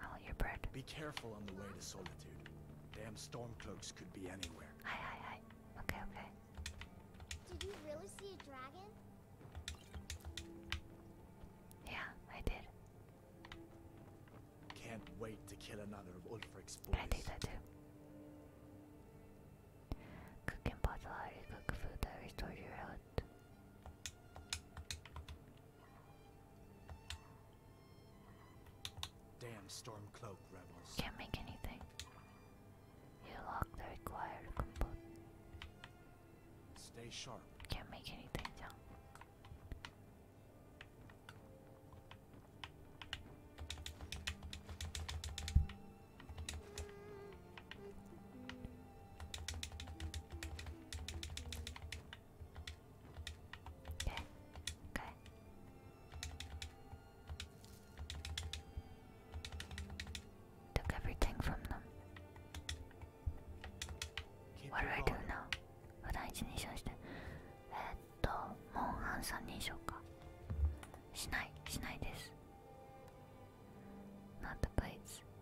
Oh, your bird. Be careful on the way to solitude. Damn stormcloaks could be anywhere. Hi, hi, hi. Okay, okay. Did you really see a dragon? Yeah, I did. Can't wait to kill another of Ulfric's boys. I do that too. Cook and pot the cook food that restores your health. Damn Stormcloak rebels. Can't make anything. You lock the required component. Stay sharp. Can't make anything down. Okay. Okay. Took everything from them. Keep what do I do now? 普段一人称してえー、っとモンハン三人称かしないしないです Not the place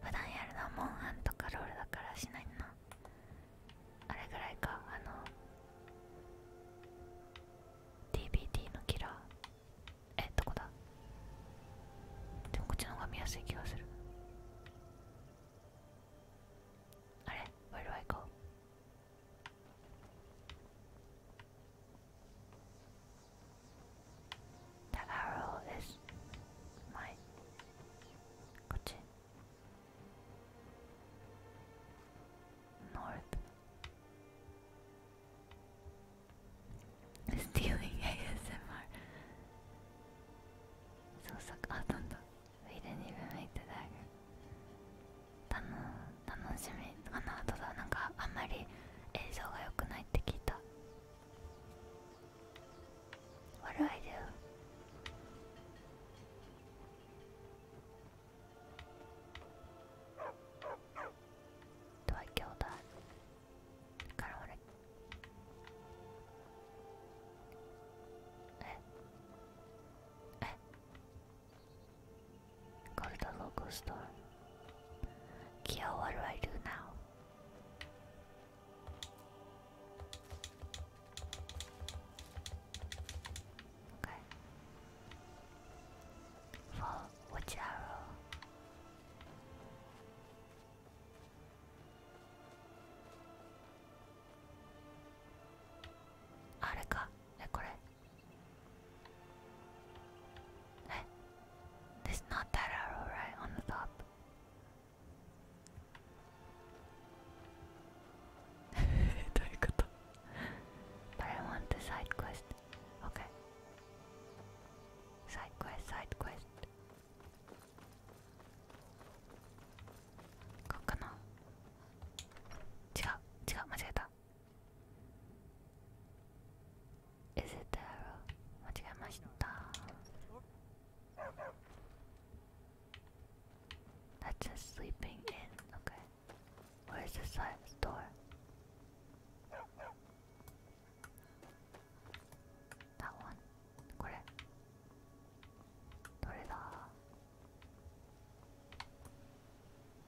普段やるのはモンハンとかロールだからしないなあれぐらいかあの DBT のキラーえどこだでもこっちの方が見やすい気がするあれワイ e r イ do I The arrow is mine. こっち North. Stealing ASMR. そうさあ飛んだ We didn't even make the dagger. たの楽しみあの後だなんかあんまり映像が良くないって聞いた What do I do? Do I kill that? Kinda eh. Eh. Go to the local store. Kyo, what do I do now? Okay. which arrow? Areka, eh? This not arrow right on the top. But I want the side quest. Okay. Side quest, side quest. こうかな違う違う間違えた Is it the arrow? 間違えました that's a sleeping in, okay. Where's the science door? That one. これ。どれだ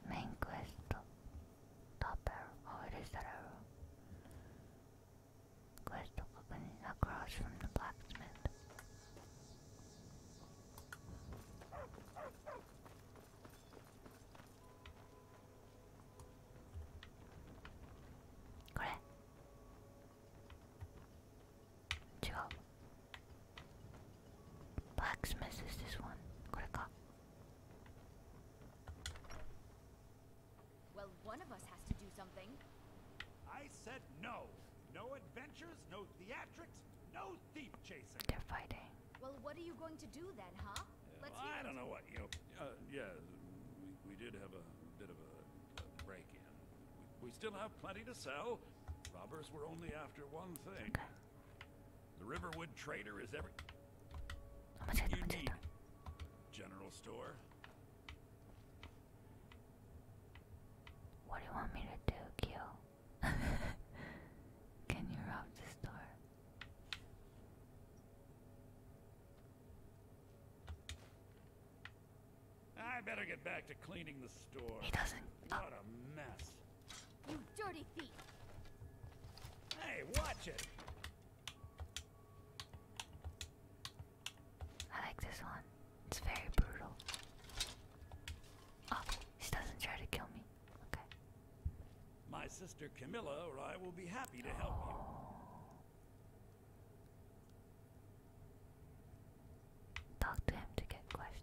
メインクエスト。Top arrow. Oh, that arrow crystal opening across from the blacksmith. is this one. Well, one of us has to do something. I said no. No adventures, no theatrics, no thief chasing. They're fighting. Well, what are you going to do then, huh? Let's well, I don't know what you. Know, uh, yeah, we, did have a bit of a, break-in. We, still have plenty to sell. Robbers were only after one thing. The Riverwood trader is every. You need general store, what do you want me to do, Kyo? Can you rob the store? I better get back to cleaning the store. He doesn't. What oh. a mess. You dirty thief. Hey, watch it. I like this one. It's very brutal. Oh, she doesn't try to kill me. Okay. My sister Camilla or I will be happy to help you. Talk to him to get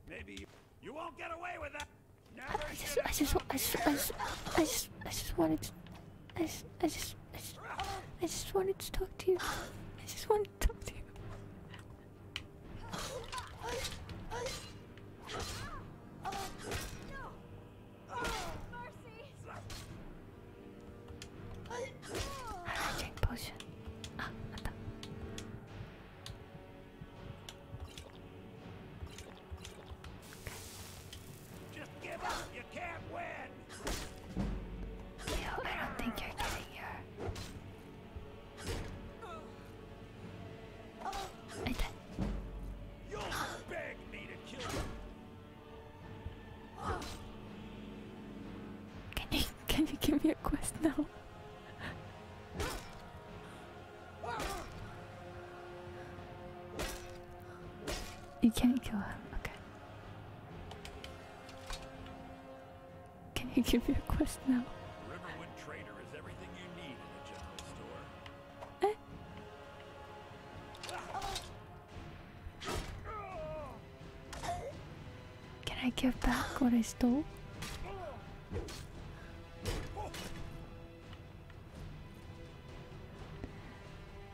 Maybe you won't get away with that. I just I just I just I just I just wanted to I just I just, wanted to talk to you. I just wanted to talk to you. potion? Ah, what the? not Yo, I don't think you're getting your. I died. You'll beg me to kill you. Can you can you give me a quest now? You can't kill him, okay. Can you give me a quest now? Riverwood Trader is everything you need in a general store. Eh? Can I give back what I stole?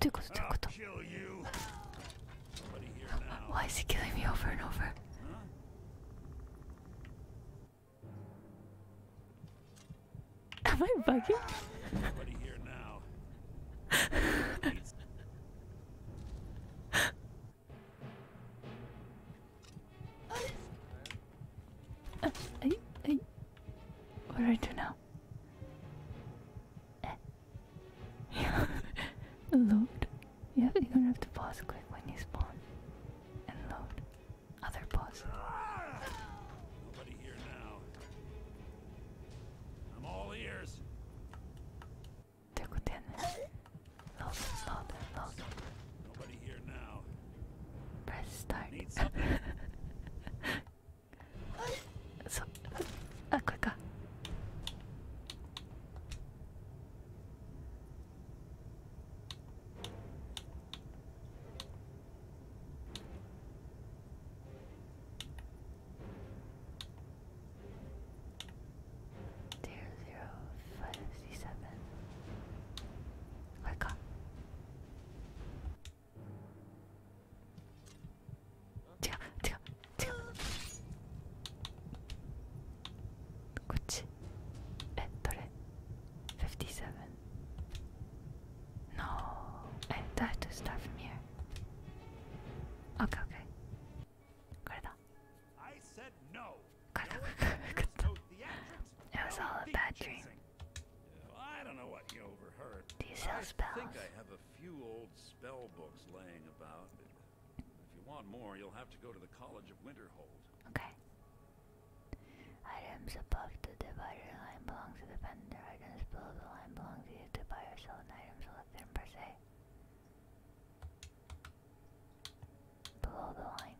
Do do go, do. Kill you. Here Why is he killing me over and over? Am I bugging? Uh, I, what do I do now? Eh. load. Yeah, you're gonna have to pause quick when you spawn. And load. Other pause. Nobody here now. I'm all ears. Take Load, load, load. Nobody here now. Press start. so, uh, quicker. Zero zero five sixty seven. Quicker. 違う違う違うこっちえどれ57 No I have to start from here OKOK、okay, okay. これだ I said no. It was all a bad dream. I don't know what you overheard. I think I have a few old spell books laying about. If you want more, you'll have to go to the College of Winterhold. Okay. Items above the divider line belong to the vendor. Items below the line belong to you to buy or sell an item selected per se. Below the line.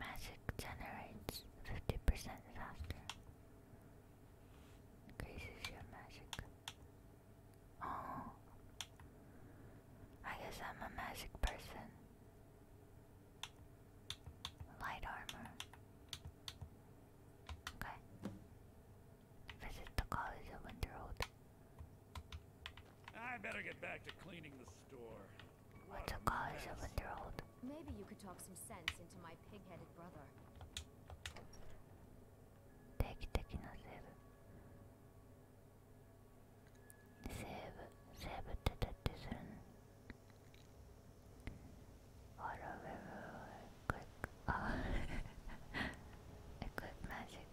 Magic generates fifty percent faster. Increases your magic. Oh. I guess I'm a magic person. Light armor. Okay. Visit the College of Winterhold. I better get back to cleaning the store. What's a College of Winterhold? Maybe you could talk some sense into my pig-headed brother. Take, Save, save the decision. Or a very magic.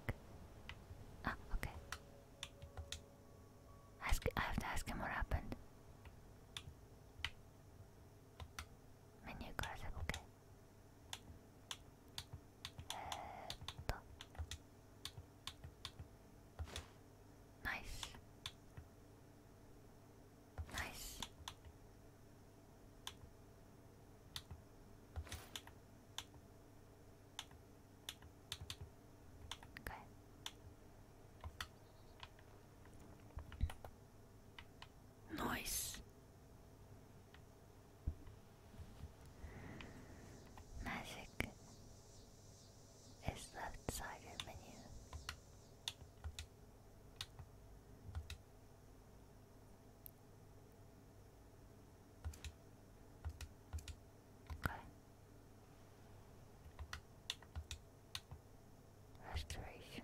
Ah, okay. Ask, I have to ask him what happened. Menu gossip, okay. えっとナイスナイスナイス Magic is left sided menu. Okay. Restoration.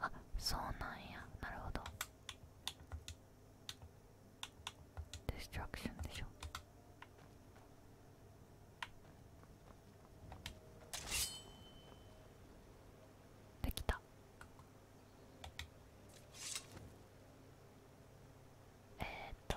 あそうなんやなるほどディストラクションでしょできたえー、っと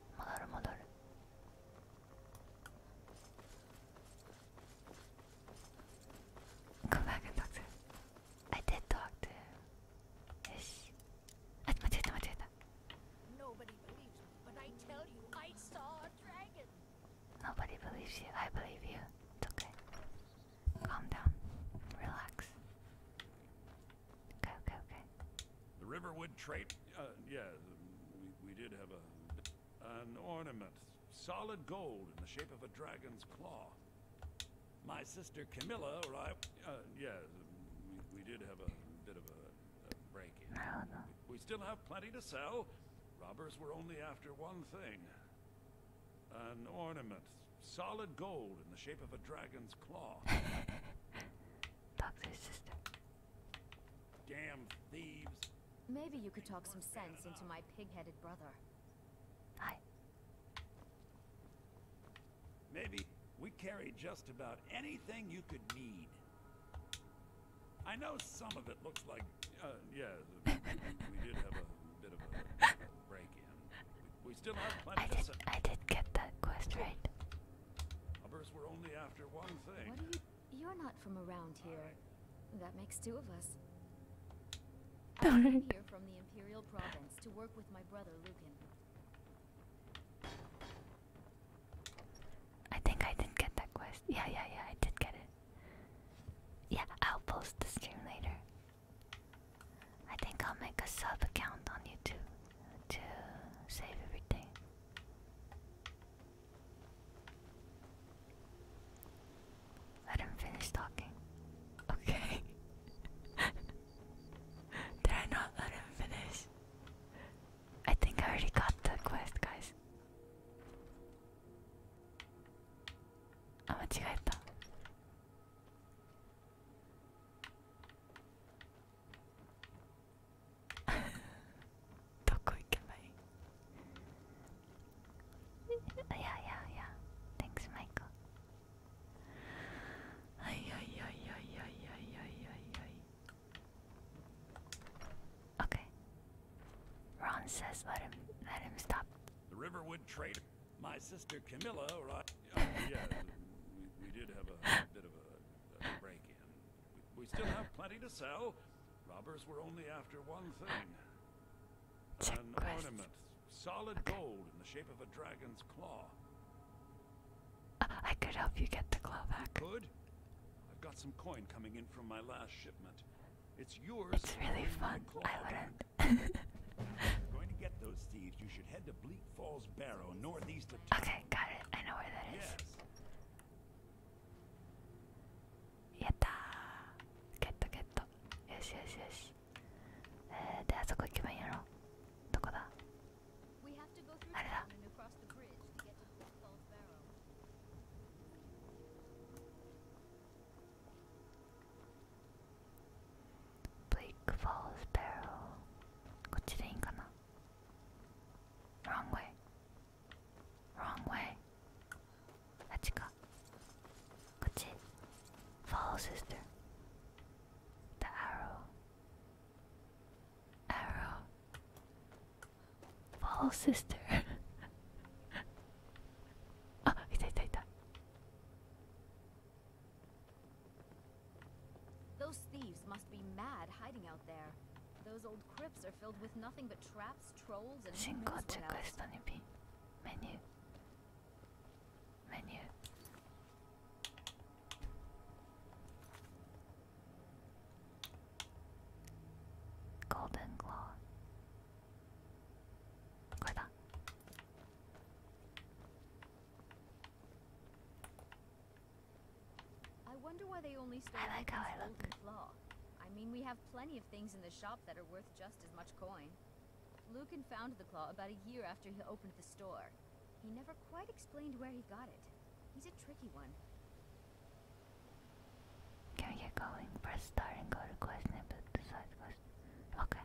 戻る戻る come back and I did talk to him yes ah, I nobody believes me you I saw a dragon nobody believes you I believe you it's okay calm down relax the Riverwood trade. Uh, yeah, we, we did have a an ornament, solid gold in the shape of a dragon's claw. My sister Camilla arrived. Uh, yeah, we, we did have a bit of a, break-in. No, We still have plenty to sell. Robbers were only after one thing. An ornament, solid gold in the shape of a dragon's claw. Talk to sister. Damn thieves. Maybe you could talk some sense into my pig-headed brother. I... Maybe we carry just about anything you could need. I know some of it looks like... Uh, yeah, we did have a bit of a break-in. we, still have plenty I did, I did get that quest right. Hubbers were only after one thing. What are you... You're not from around here. That makes two of us. I am here from the Imperial Province to work with my brother, Lucan. I think I didn't get that quest. Yeah, yeah, yeah, I did get it. Yeah, I'll post the stream later. I think I'll make a sub account on YouTube to save everything. Let him finish talking. Okay. Did I not let him finish? I think I already got the quest, guys. Ah, yeah, yeah, yeah. Thanks, Michael. Ay, ay, ay, ay, ay, ay, ay, ay, Okay. Ron says let him let him stop. The Riverwood Trader. My sister Camilla, oh, yeah, we, did have a, bit of a break in. We still have plenty to sell. Robbers were only after one thing. An ornament. Solid gold in the shape of a dragon's claw. I could help you get the claw back. Good. I've got some coin coming in from my last shipment. It's yours. It's really fun. I wouldn't. going to get those thieves, you should head to Bleak Falls Barrow, northeast of town. Okay, got it. I know where that is. やったゲットゲットよしよしよしえー、であそこ行けばいいやろどこだあれだブリクフォースペロこっちでいいんかな Wrong way. Wrong way. Let's go. That's it. Follow, sister. The arrow. Arrow. Follow, sister. ah, ita ita ita. Those thieves must be mad hiding out there. Those old crypts are filled with nothing but traps, trolls, and menu. I wonder why they only stole I like how I look. Claw. I mean, we have plenty of things in the shop that are worth just as much coin. Lucan found the claw about a year after he opened the store. He never quite explained where he got it. He's a tricky one. Can we get going? Press start and go to question and put the side question. Okay.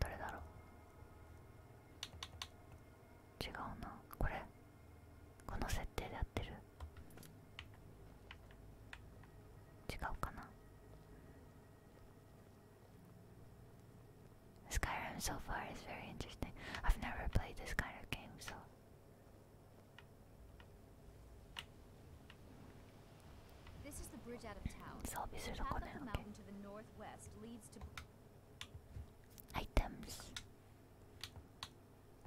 誰だろう違うなこれこの設定でやってる違うかな Skyrim so far is very interesting. I've never played this kind of game, so This is the bridge out of town. The path up the mountain to the northwest leads to items.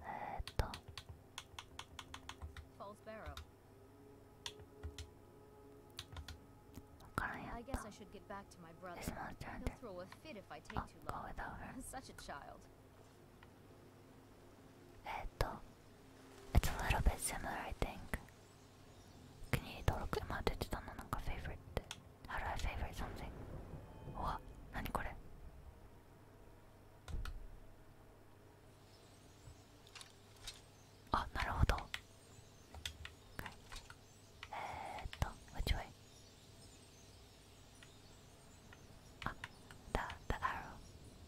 Uh, False barrow. I guess I should get back to my brother. He'll throw a fit if I take too long. Such a child. It's a little bit similar, I think. Can you talk about it? favorite. How do I favorite something? What? Oh, ah, なるほど Okay. えーっと、which way? あ、the, ah, the arrow.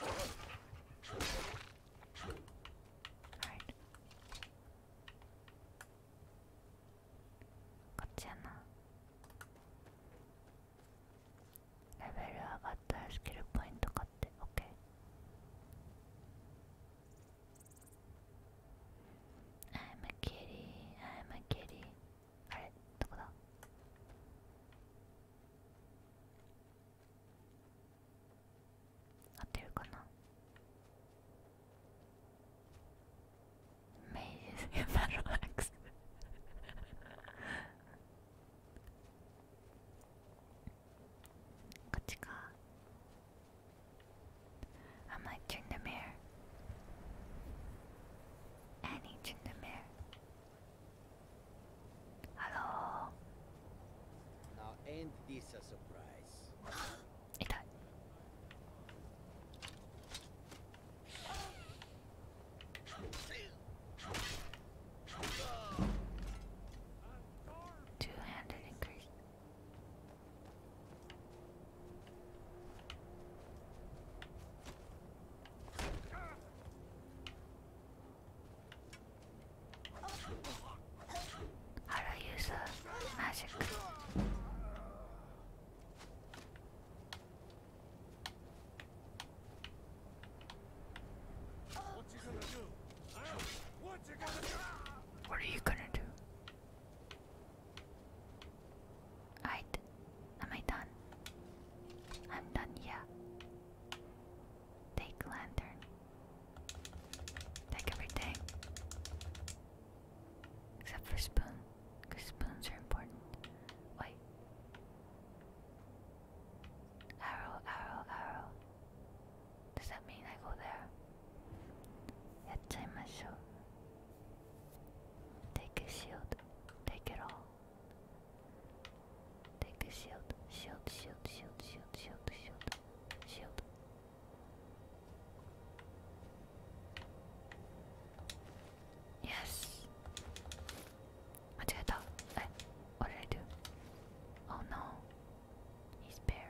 Alright. 같이 하나. 레벨이 아가타의 스킬 포인트 같아. 오케이. I'm a kitty, I'm a kitty. 그래, 누구다? 合ってるかなメイジスバロアクスこっちか I turn the mirror Annie turn the mirror Hello. Now ain't this a surprise? it Two-handed increase. How do I use magic? What are you gonna do? Alright. Am done? I'm done, yeah. Take lantern. Like everything. Except for spoon, because spoons are important. Wait. Arrow, arrow, arrow. Does that mean I go there? Yatchaimashou. Take a shield. Take it all. Take a shield, shield, shield, shield, shield, shield, shield, shield. Yes. 間違えた。え、what did I do? Oh no, he's bare.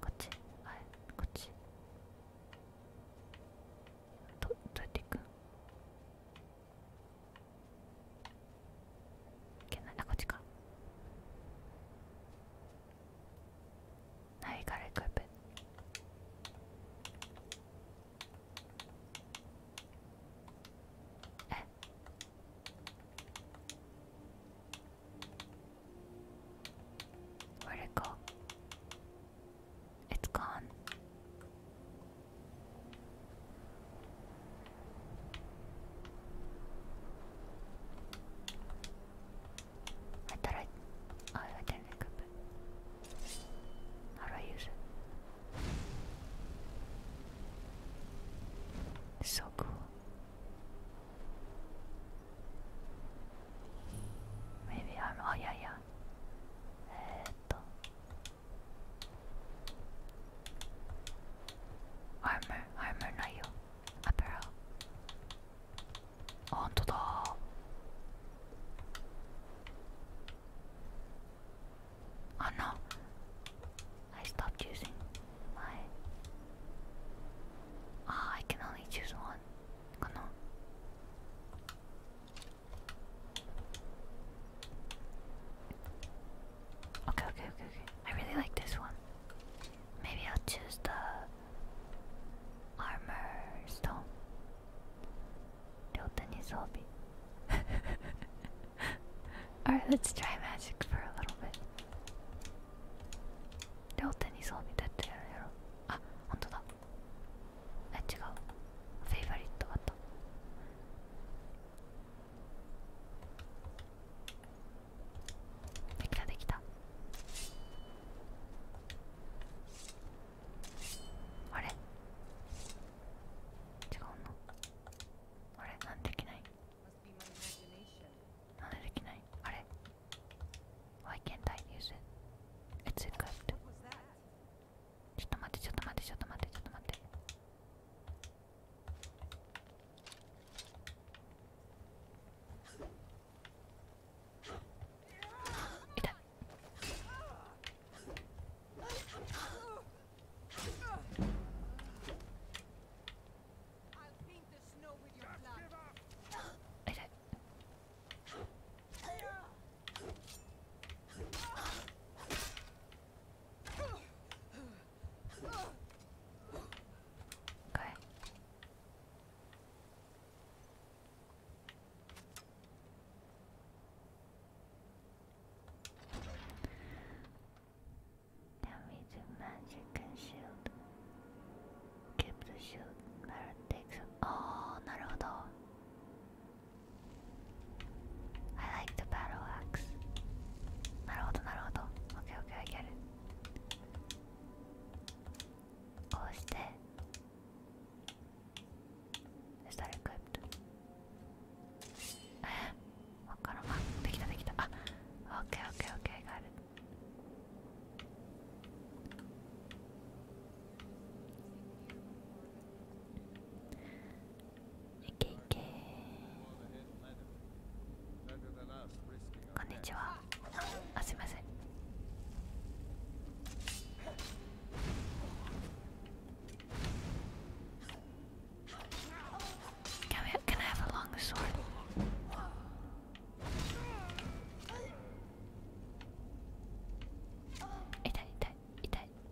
こっち、はい、こっち。ど、どうやって行くんいけないあこっちかナビガルクープえっ Where'd it go? It's gone. I thought I... I didn't equip it. How do I use it? so cool. Maybe I'm... Oh, yeah, yeah. えーっと。Armor, armor の色 Apparel ほんとだあ、oh, no I stopped using my Ah, I can only choose one かな oh, Okay, okay, okay, okay. I really like this one. Maybe I'll choose the armor stone. Alright, let's try magic for a little bit. Ah, Favorite できたできたあれ違うのあれなんできないなんできないあれ Why can't I use it? It's equipped ちょっと待ってちょっと待ってちょっと待ってちょっと待って Ita. I'll paint the snow with your blood. Ita. Okay. Now we do magic and shield. Keep the shield. Merit takes. Oh, I like the battle axe. なるほどなるほど。Okay, okay, I get it. こうして。Is that equipped? えわからん。あ、できたできた。あ、Okay, okay, okay, I got it. いけいけこんにちはあすいませんキャメ can I have a longer sword? 痛い痛い痛い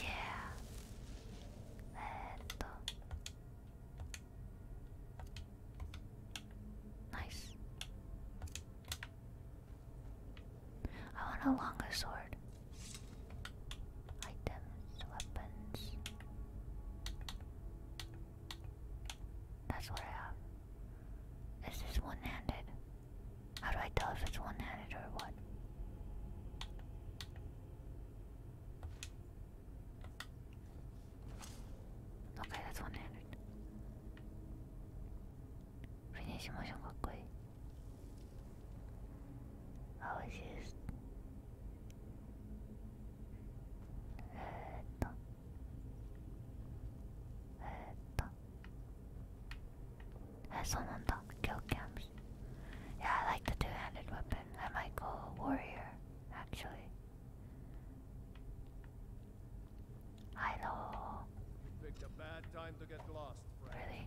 Yeah. Let's Nice. I want a longer sword. Items, weapons. That's what I have. Is this one handed? How do I tell if it's one handed or what? Okay, that's one handed. Finish motion quickly. I used えー、っとえー、っとえー、そうなんだ kill cams yeah I like the two-handed weapon I might go warrior actually hello Picked Really?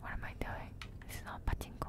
What am I doing? This is not pachinko.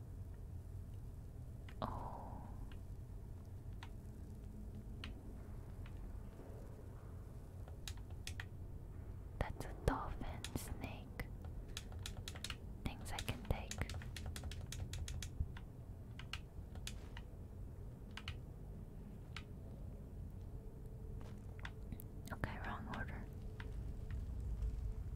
Oh. That's a dolphin snake. Things I can take. Okay, wrong order.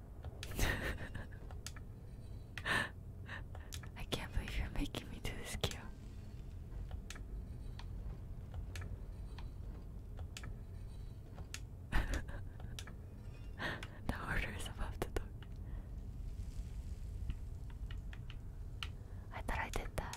I can't believe you're making me do this queue. the order is above the door. I thought I did that.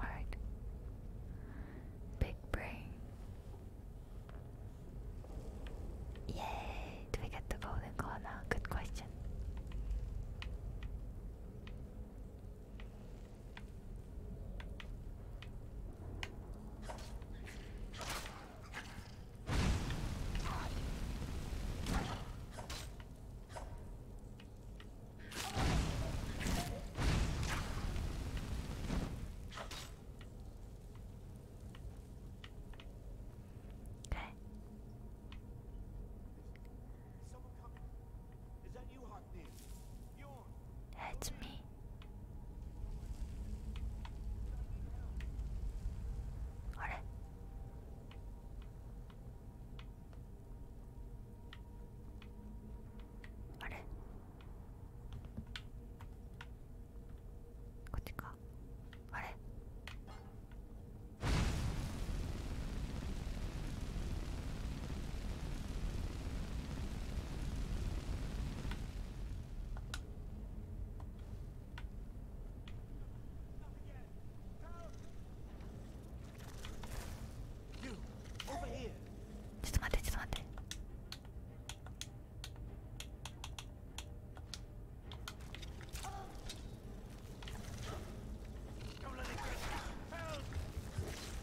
Alright. Big brain. Yay! Do we get the golden claw now? Good question. Okay. Someone coming. Is that you, Hotney? You hurts me. What? What? こっちかあれちょっと待ってちょっと待って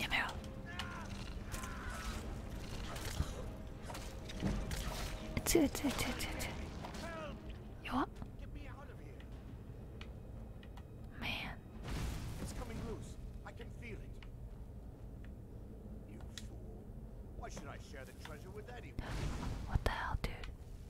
Yeah, Meryl. It's it, Man. coming loose. I can feel it. You fool. Why should I share the treasure with anyone? What the hell, dude?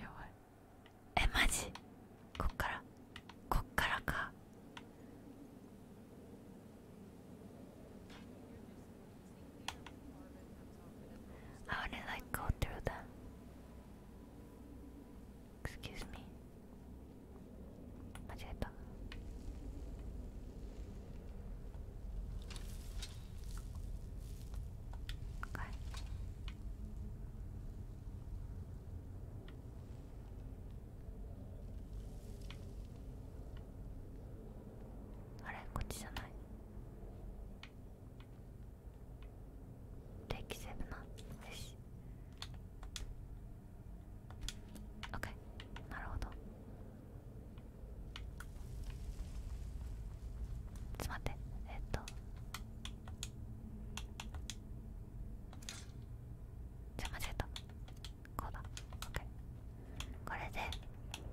やばいえマジこっからこっからかあわれないかってるだ excuse me 間違えたあれこっちじゃない電気セーなよし OK なるほどちょっと待ってえっとじゃ間違えたこうだオッケー。これで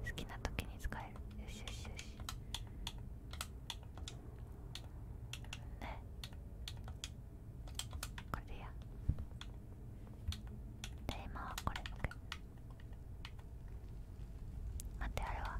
好きな時に使えるよしよしよしねこれでいいやで今はこれオッケー。待ってあれは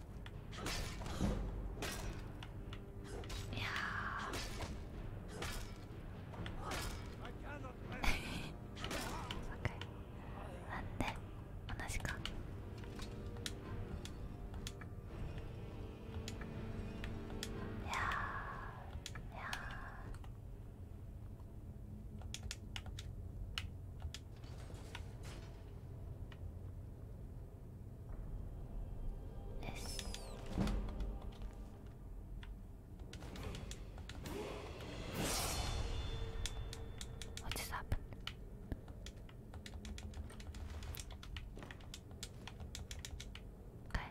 いやあ、ん同じかいやいや Yes. What just Okay.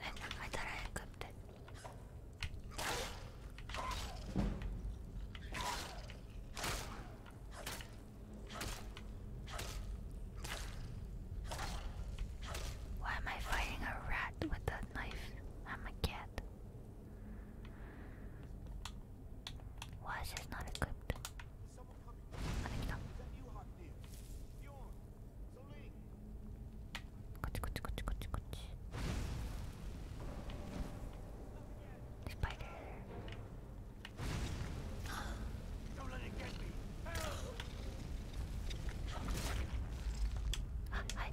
I, I thought I equipped Why am I fighting a rat with a knife? I'm a cat. Why is this not equipped? あできたこはい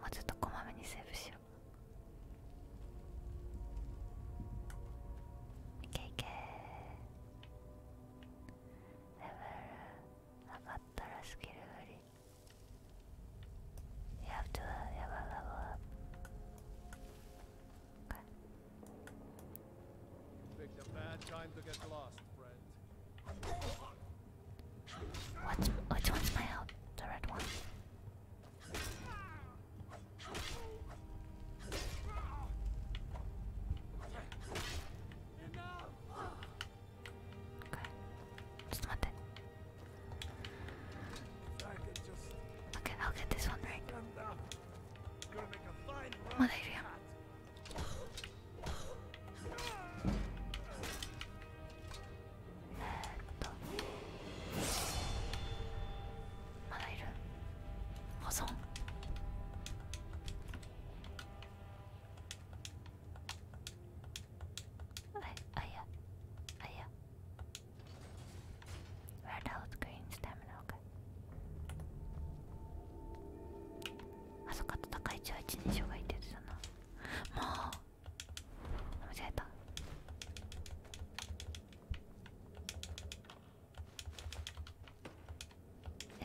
もうちょっとこまめにセーブしよういけいけレベル上がったらスキル振り You have to level up. Picked a bad time to get lost, which one's my help? The red one. Okay. Just want Okay, I'll get this one right. まだいるやんまだいる保存あいあやあや Red health, green s t a m i n okay. あそっか戦い中は一人称がいて言ってたなもう間違えた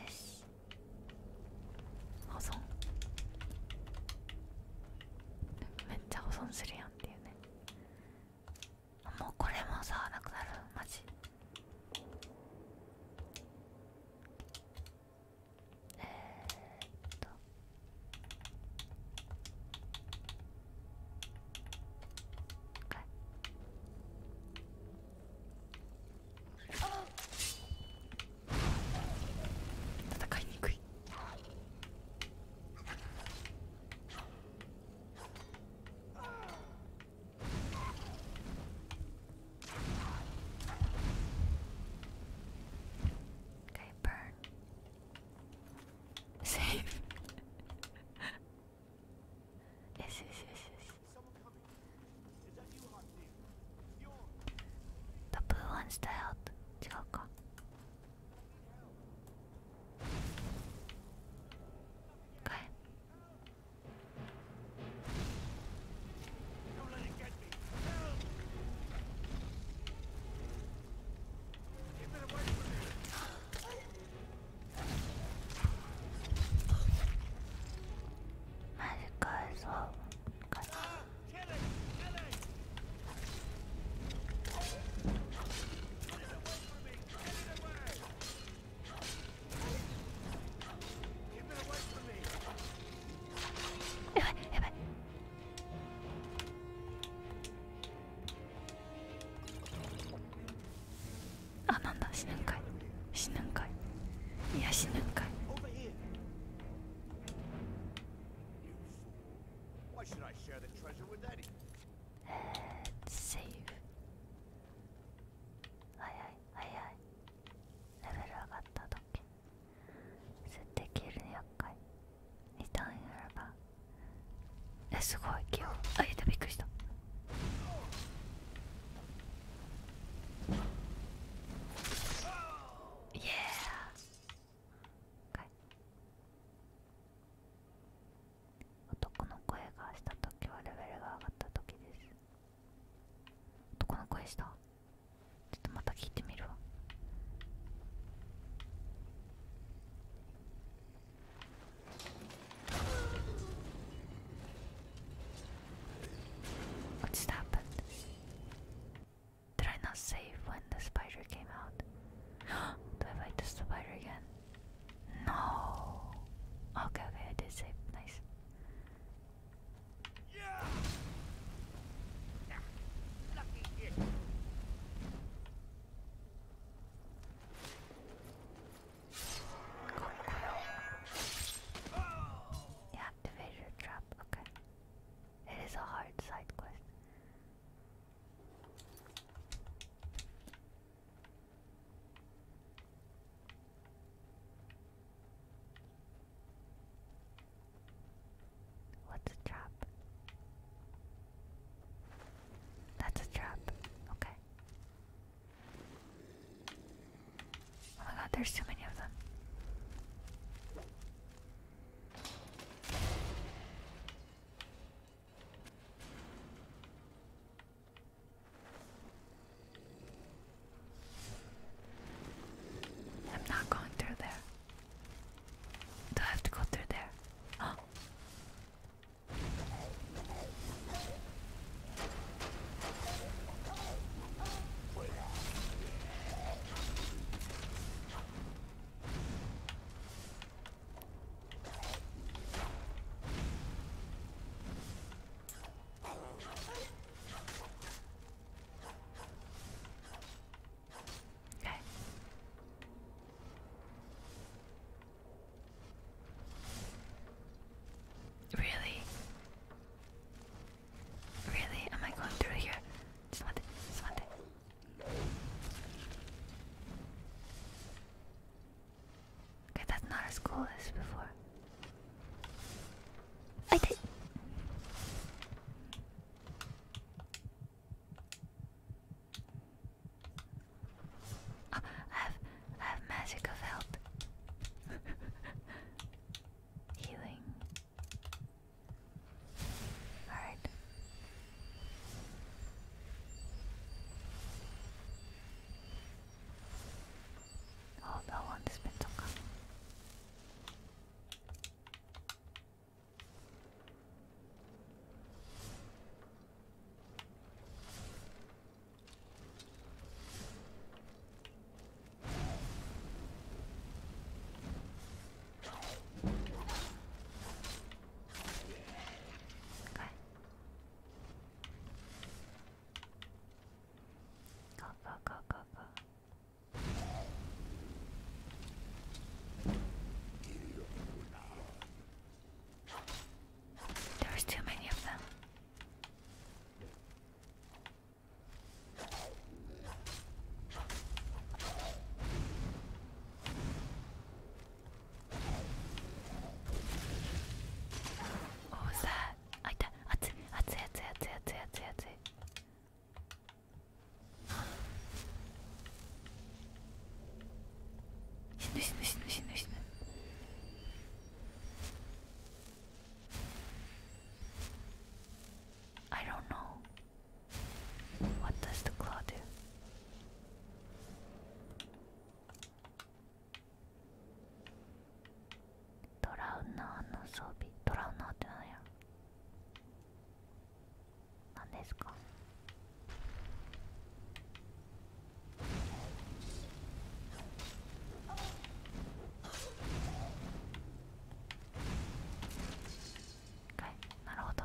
よし保存めっちゃ保存するやんっていうねもうこれも触らなくなるマジえっとはい戦いにくい Okay, burn. Safe. yes, yes, yes, yes. The blue one's the health. 違うか。Okay. Don't let it get me. Help! Keep it away from me. Magic guys, oh, God. Kill it! Kill it! Get it away from me! Get it away! あなんだ死ぬんかい死ぬんかいいや死ぬんかいえー、セーフ早い早いレベル上がった時設定消える厄介2ターンやればえすごい今日。あいたびっくりしたイエーイ男の声がした時はレベルが上がった時です男の声したちょっとまた聞いてみるわ「What's happened? Did I not save when the spider came out? Do I fight the spider again? No. Okay, okay, I did save. Nice. Yeah. Cool, cool. You trap, okay. It is a hard side quest. What's a trap? That's a trap. Okay. Oh my god, there's too many of them. I'm not going through there. Do I have to go through there? Okay. Really? Really? Am I going through here? Just want just want Okay, that's not as cool as before. I did. Oh, I have, I have magic of health, healing. All right. Oh, that one's been so good. Okay. Go, go, go, go, go. There's too many of them. What was that? I da atsu atsu atsu atsu atsu atsu atsu. Shinu shinu shinu shinu shinu. I don't know. What does the claw do? トラウナーの装備トラウナーって何や何ですかはいなるほど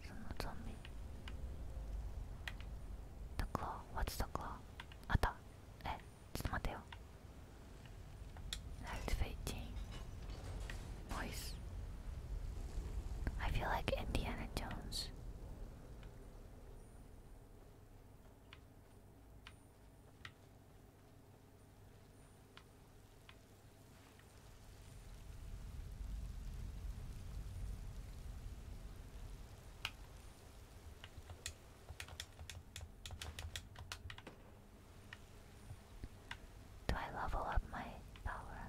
そのゾンビ The claw? What's the claw? あったえちょっと待ってよ eh, Voice I feel like Indiana Jones Do I l e v e my power?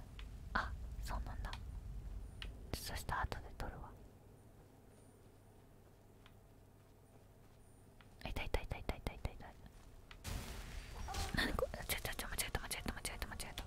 あそうなんだそした後で取るわ痛い痛い痛い痛い痛い痛い痛い何これ間違えた間違えた間違えた間違えた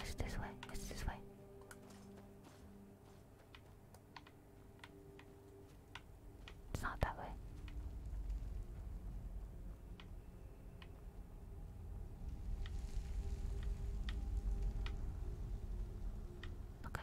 It's this way, it's this way. It's not that way. Okay.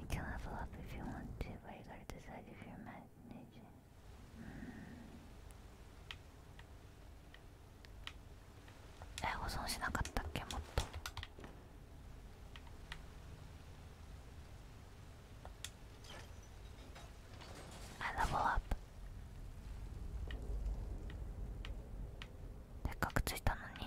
You can level up if you want to, but you gotta decide if you're managing. Mm. え、保存しなかったっけ、もっと。I level up. せっかくついたのに。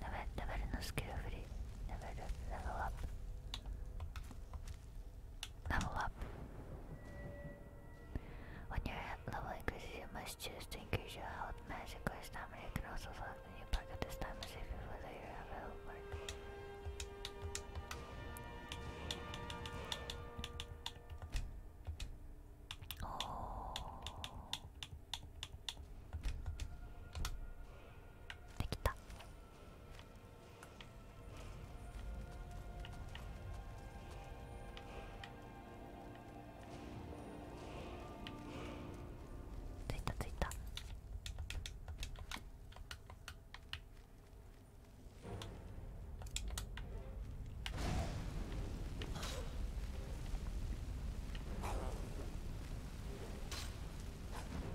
Never, never no skill free. Never level up. Level up. When your level increases, you must choose to increase your health, magic, or stamina. You can also select the new pack at this time and save it to you have available. Oh. できたついたついた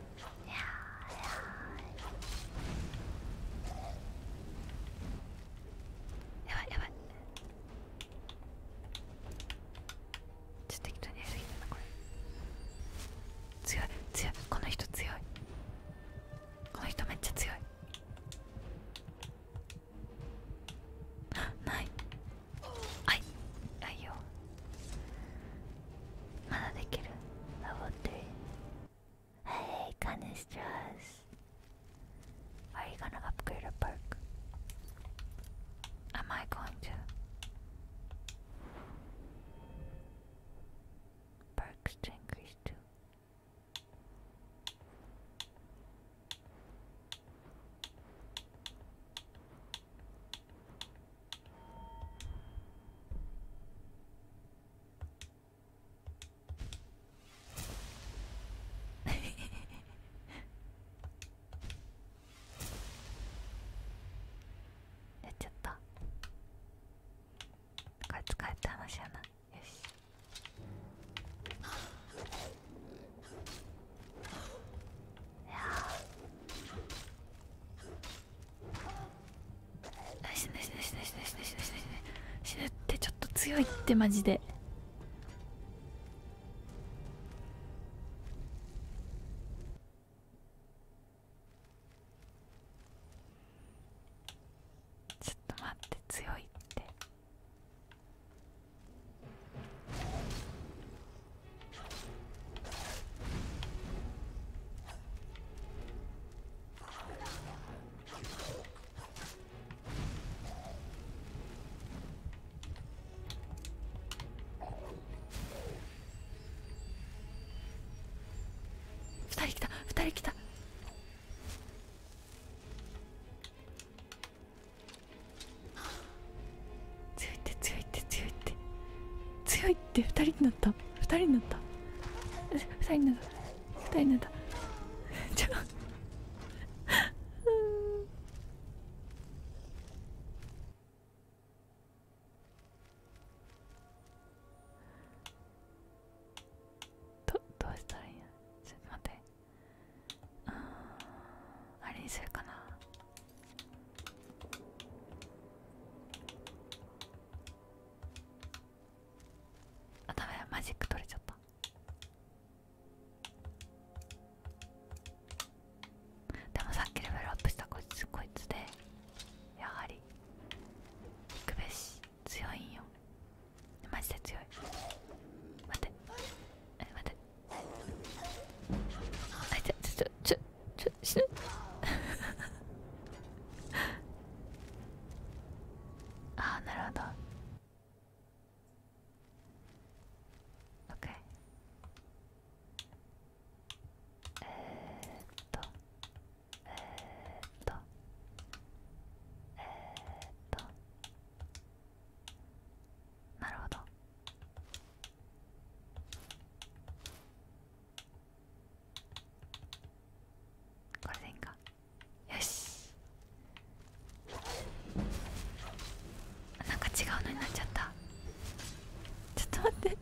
やばいやばいちょっと適当にやりすぎなこれ強い強いこの人強いこの人めっちゃ強いないはいはいよまだできる登って Hey canistras Are you gonna upgrade a perk? Am I going to? Perks to increase too. やっちゃったこれ使えって話やない。よしいや死ぬ死ぬ死ぬ死ぬ死ぬ死ぬ死ぬ死ぬってちょっと強いってマジでちょっと待って強いって。2人来た2人来た強いって強いって強いって強いって2人になった2人になった2人になった2人になったちょどどうしたらいいのちょっと待ってああれにするかなあダメマジック取れちゃったでもさっきレベルアップしたこいつこいつでやはり行くべし強いんよマジで強い待ってえ待ってあっつちょちょちょ 저, 아, 나라다. 오케이. 에또, 에또, 에또. なるほどこれでいいかよしなんか違うのになっちゃったちょっと待って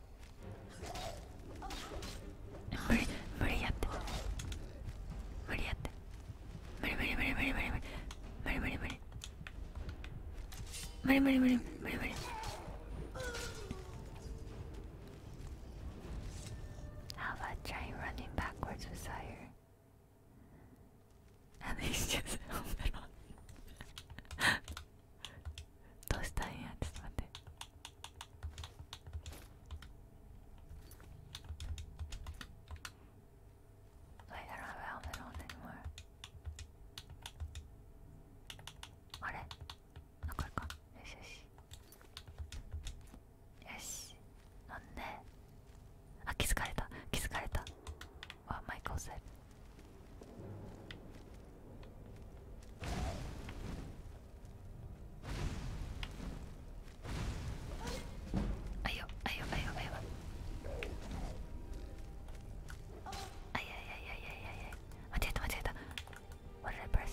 Muri Muriapo Muriate Muri Muri Muri Muri Muri Muri Muri Muri Muri Muri Muri Muri Muri How about trying running backwards with Sire? At least just held it on どうしたんやちょっと待ってあれなんかいかよしよしよしなんであ気づかれた気づかれたわマイク押さえる Ayo, ayo, ayo, ayo. Ay, ay, ay, ay, ay, ay, ay. 間違えた、間違えた。What did I press?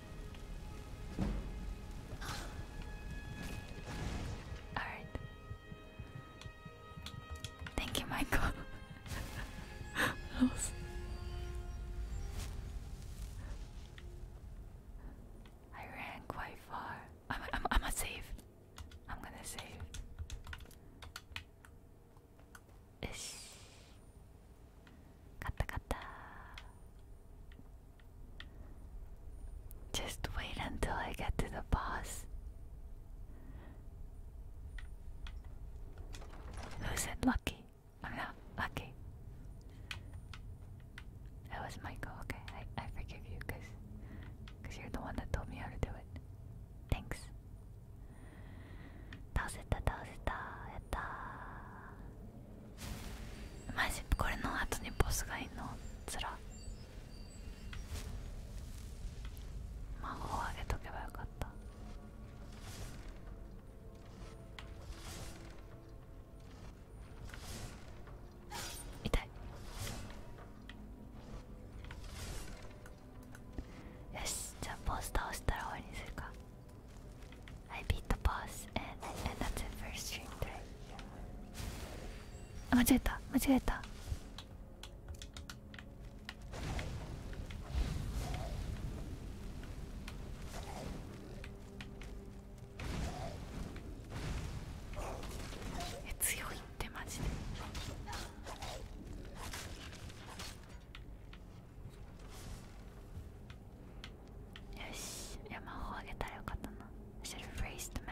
Alright. Thank you, Michael. I ran quite far. I'm I'm I'm going save. I'm gonna save. Ish. Just wait until I get to the boss. Who said lucky? I'm not lucky. That was Michael. Okay, I, I forgive you because cause you're the one that told me how to do it. Thanks. Tauseta, tauseta, eta. マジこれの後にボスがいんのつら魔法をあげとけばよかった痛いよしじゃあボス倒したら終わりにするか I beat the boss and, and that's it for string 3あ間違えた間違えたえ強いってマジでよし山や魔あげたらよかったな I should have raised t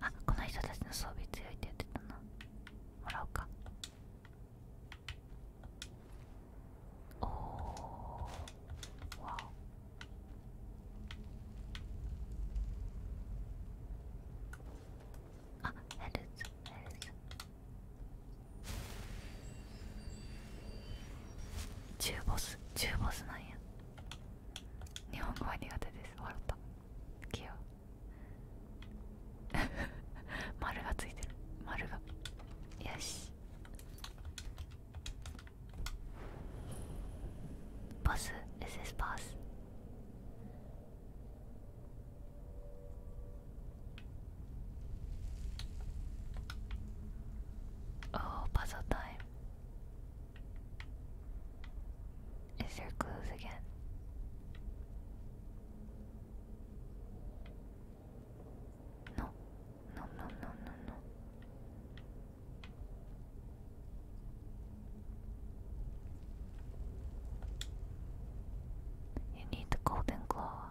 あこの人たちの装備強いって言ってたなもらおうかおわおあヘルツヘルツ中ボス中ボスなんや日本語は苦手です笑った器用丸がついてる丸がよし Boss, is this boss? Oh, puzzle time. Is there clues again? No, no, no, no, no, no. You need the golden claw.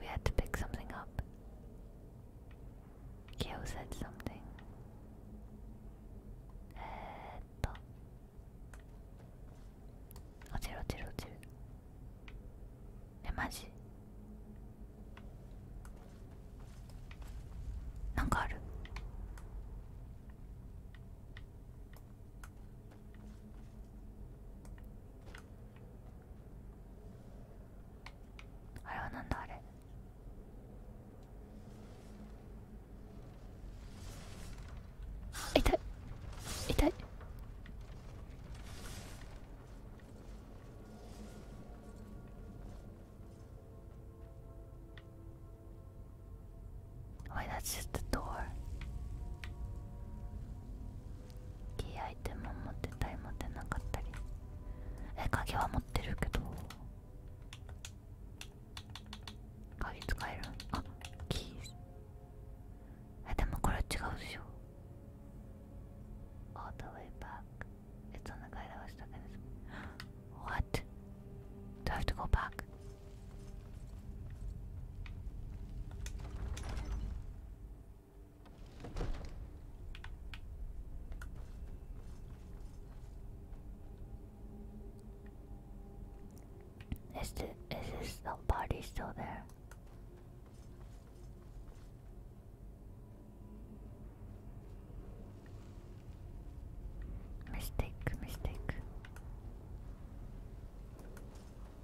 We had to pick something up. Keo said something. Eto. Ochiru, ochiru, ochiru. あれはなんだあれ痛い痛い Wait, that's just the door. Key item を持ってたり持ってなかったり。え、鍵は持ってるけど。鍵使えるあ、キーズ。え、でもこれは違うでしょ。All the way back. It's on the guide I was stuck in this. What? Do I have to go back? Is the is his body oh, still there? Mistake, mistake.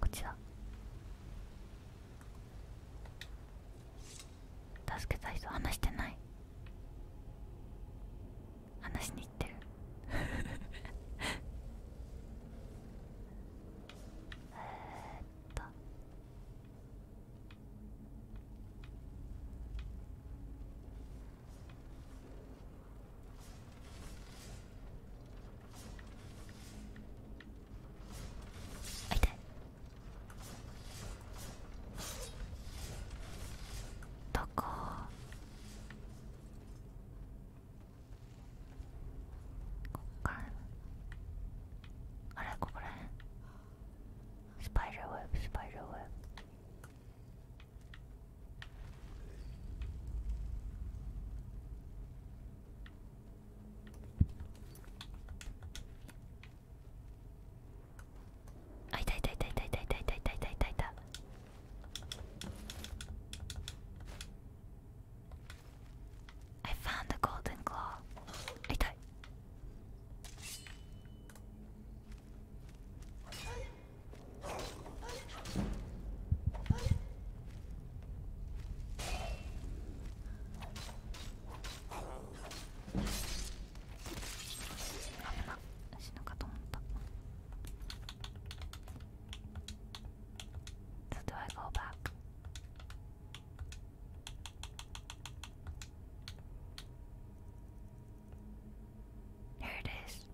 こっちら。助けたい人話してない話しに行ってる えっと痛いどここっからあれここらへんスパイダーウェブスパイダーウェブあいたいたいたいたいたいたいたいたいたいたいた I found the golden claw あいたい死ぬかと思った「So do I go back?」Here it is.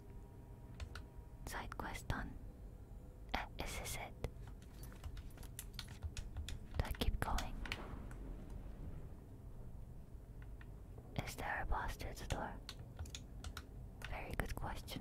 Side quest done. Eh, is this it? Do I keep going? Is there a boss to the door? Very good question.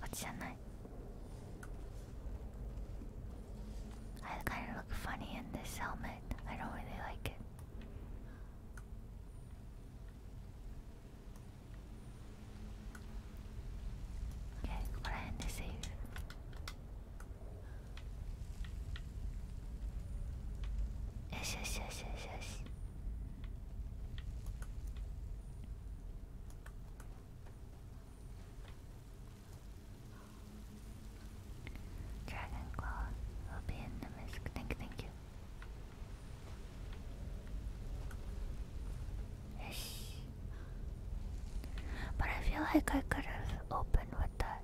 こっちじゃない。I kind of look funny in this helmet. I don't really like it. Okay, ここら辺でセーフよしよしよしよしよしドラゴンコール will be in the mask thank you thank But I feel like I could have opened with that.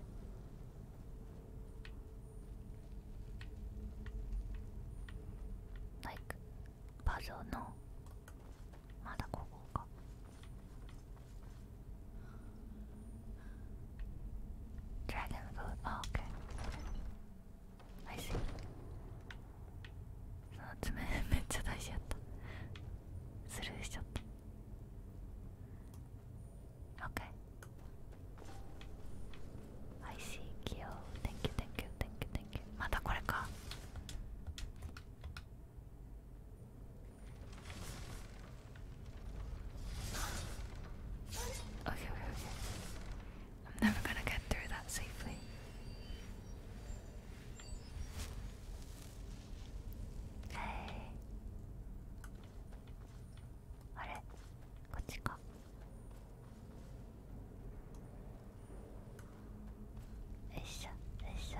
l i k ジョゾのまだここかドラゴンフードあ OK I see その爪めっちゃ大事やったスルーしちゃった Okay. I see Kyo. Thank you, thank you, thank you, thank you. またこれか。Okay, okay, okay. I'm never gonna get through that safely. Hey. あれこっちかっしょよいしょ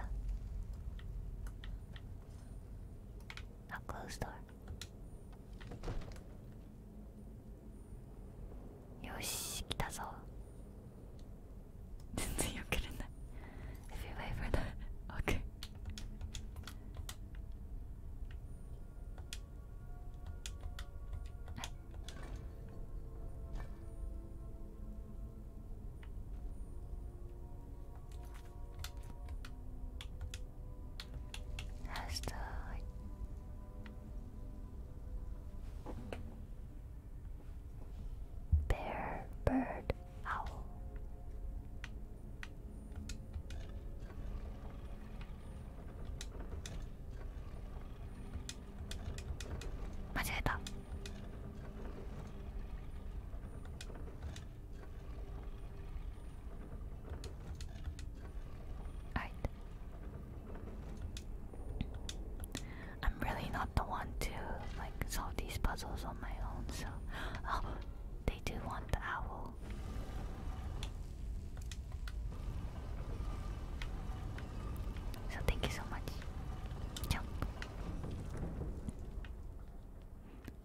あ close door よし来たぞ全然よけれない If you wait for that, okay Hasta hoy. Bear, bird, owl i am really not the one to like solve these puzzles on my own, so oh, they do want the owl. So thank you so much.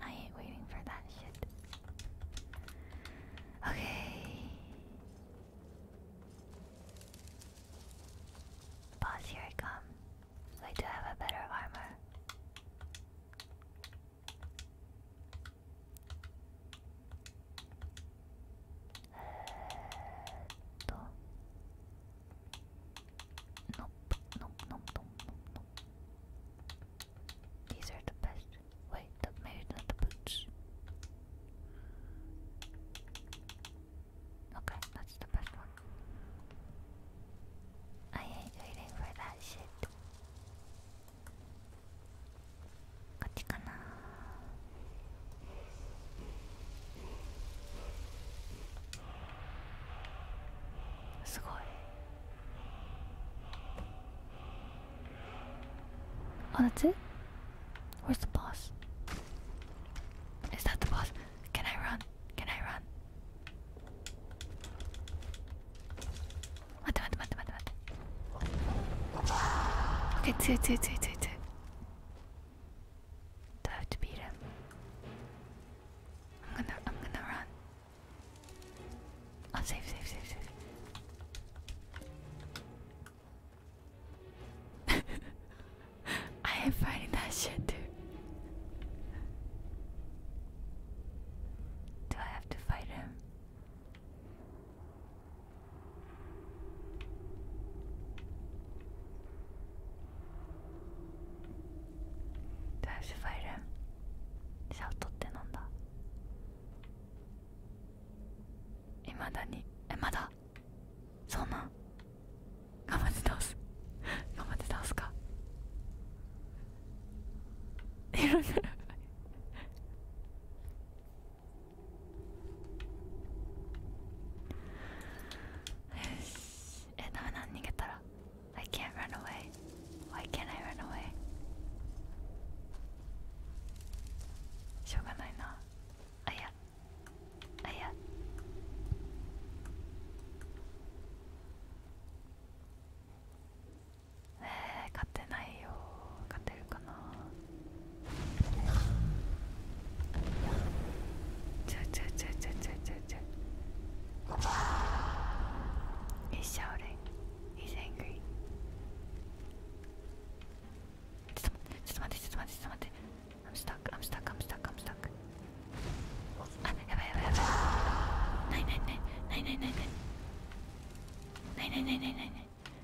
I ain't waiting for that shit. Okay. Boss, here I come. Wait, do have a better armor? とノッノッノッノッノッノッ These are the best. Wait, maybe not the boots. Okay, that's the best one. I ain't waiting for that shit. こっちかなすごいあ、oh, that's Where's the boss? Is that the boss? Can I run? Can I run? 待って待って待って待って待って OK 強い強い強い強い強い Do I have to beat him? I'm gonna I'm gonna run. I'll oh, save save save save I am fighting that shit dude. Do I have to fight him? 大事ファイルシャウトって飲んだいまだにえまだそんなん頑張って倒す頑張って倒すかいろいろえダメだ逃げたら I can't run away why can't I run away しょうがないなあやあやえー、勝てないよ勝てるかなちょちょちょちょちょ一生俺 He's angry ちょっと待ってちょっと待ってちょっと待ってあやばいやばいやばいないないないないないないないないないないないない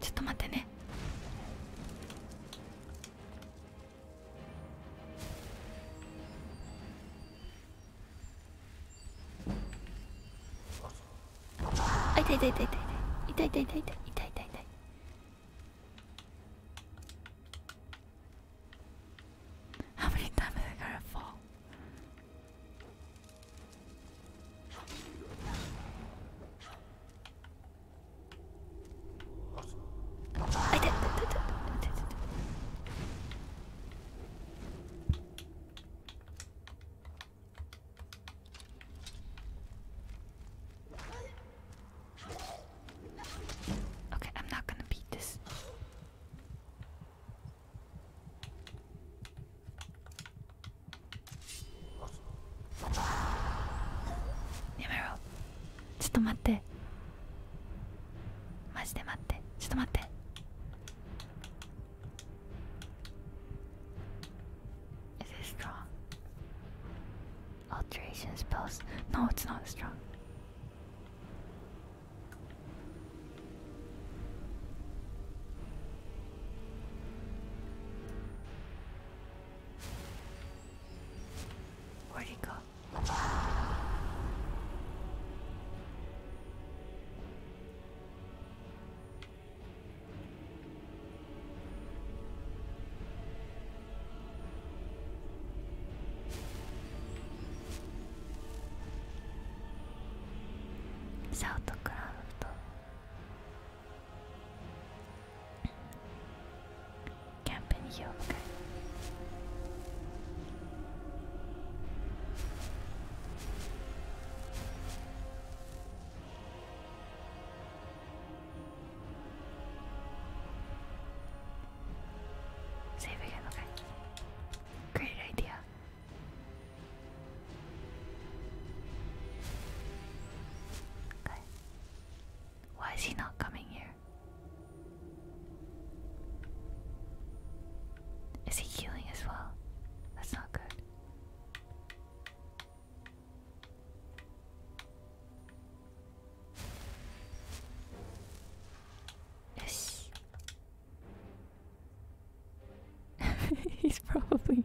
ちょっと待ってね Okay, I'm not gonna beat this. やめろちょっと待ってマジで待ってちょっと待ってえっ strong? Alteration spells? No, it's not strong. Where'd he go? South Craft. Camp in here, Save again, okay. Great idea. Okay. Why is he not coming here? Is he healing as well? That's not good. Yes. He's probably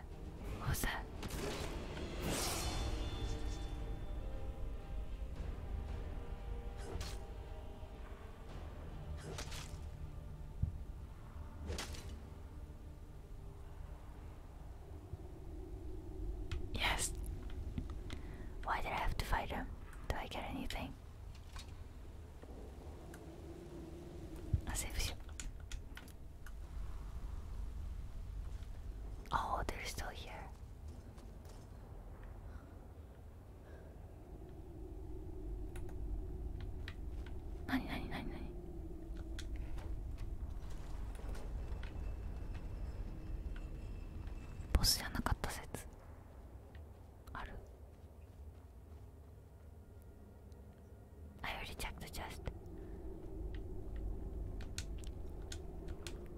that? was that? Yes. Why did I have to fight him? Do I get anything? As if Oh, they're still here. Nani, nani, nani, nani. Boss じゃなかった説ある I already checked the chest.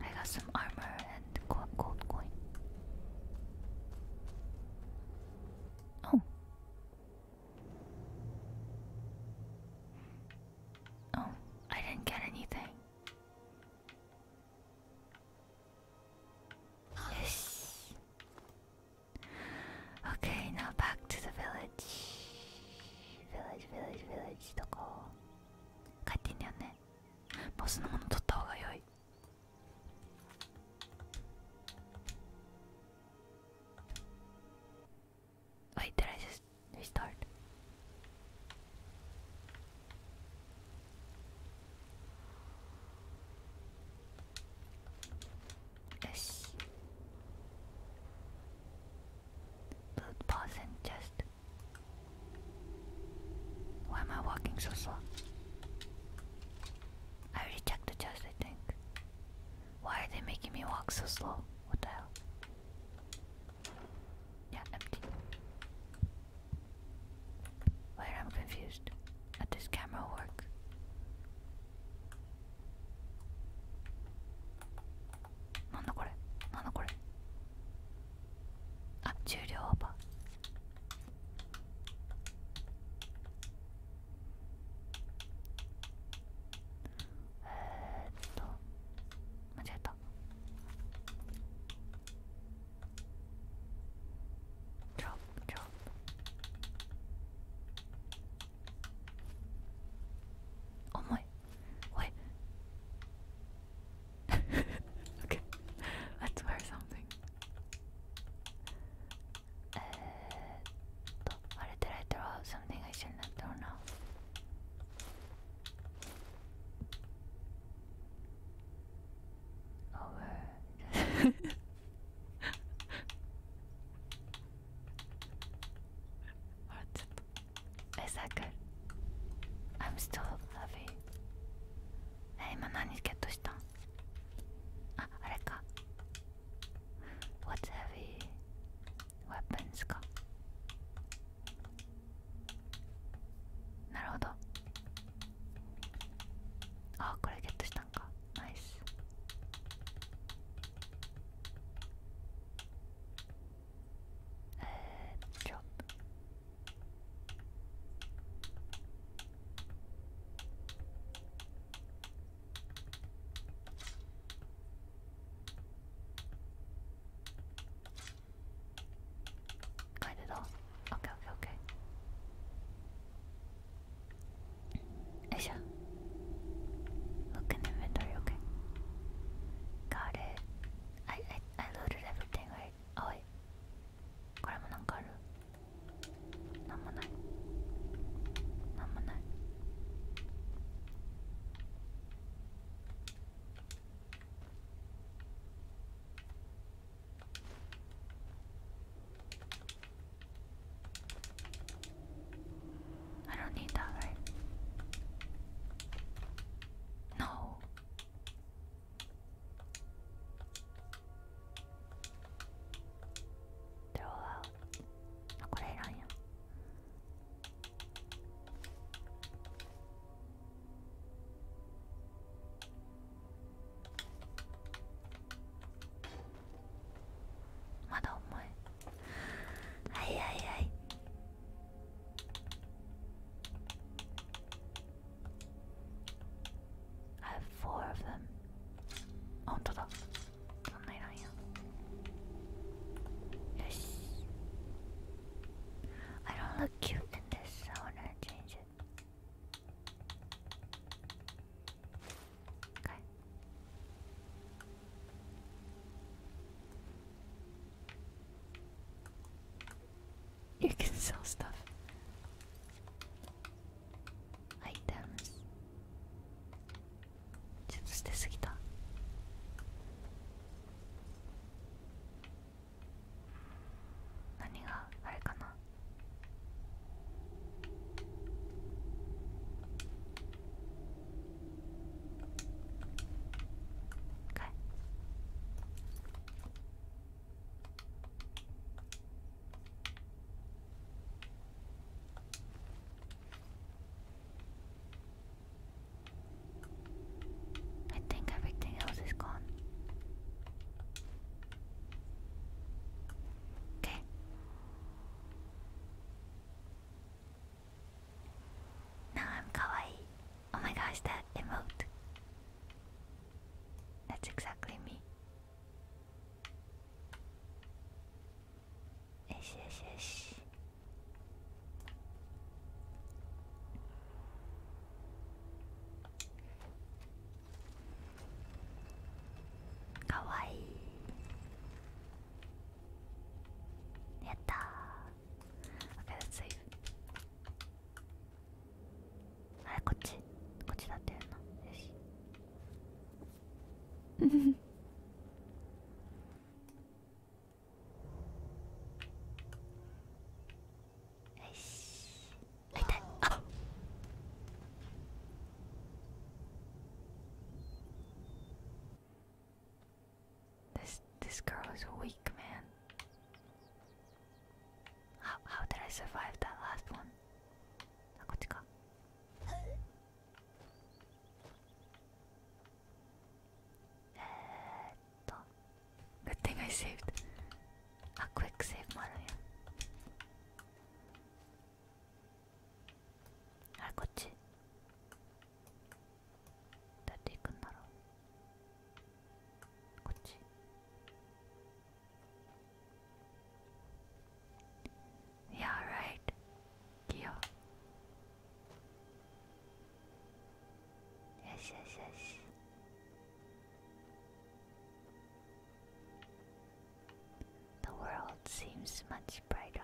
I got some armor and gold coin. Oh. Oh, I didn't get anything. Yes. Okay, now back to the village. ヴィレージヴィレージヴィレージとか帰っていいんだよねボスのもの取った方が良いはい did I just restart? あし Loot poison chest Why am I walking so slow? I already checked the chest I think Why are they making me walk so slow? What the hell? Yeah, empty. Wait, i confused. How does camera work? なんだこれなんだこれあ重量オーバーえっと間違えたドロップドロップ oh! okay, let's wear something えーと、あれ did I throw out something I shouldn't have thrown out? Over Or it's Is that good? I'm still heavy え、今何ゲットしたんあ、あれか What's heavy? Weapons かなるほどあ、これゲットしたんかナイス Uh, drop. Quite at Okay, okay, okay. よいしょ Look in the window, okay? Got it. I, I, I loaded everything, right? Oh, wait. これもなんかあるなんもない。なんもない。I don't need that, right? No. Throw out. I'll put it on you. What Hi hi hi. I have four of them. Oh, total. Something on you. Yes. I don't look cute in this, I wanna change it. Okay. You can sell stuff. Items. ちょっと捨てすぎた。何があれかな Okay. I think everything else is gone. Okay. Now I'm kawaii. Oh my gosh, that emote. That's exactly me. Yes, yes, yes. Kawaii. やったー Okay, い h a t s こっちこっちだったよなよしよしあ痛いあ This this girl is weak, man. How how did I survive that last one? Good thing I saved a quick save model. 할 거지? Yeah, right. Yes, yes, yes. The world seems much brighter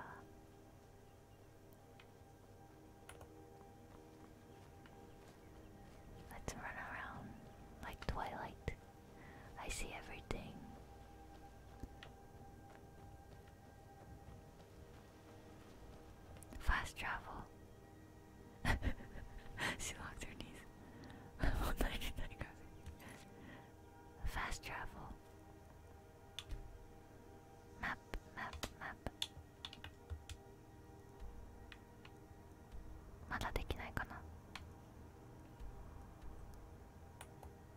Let's run around like twilight. I see everything. Fast travel. she locked her knees. Fast travel. Map, map, map. まだできないかな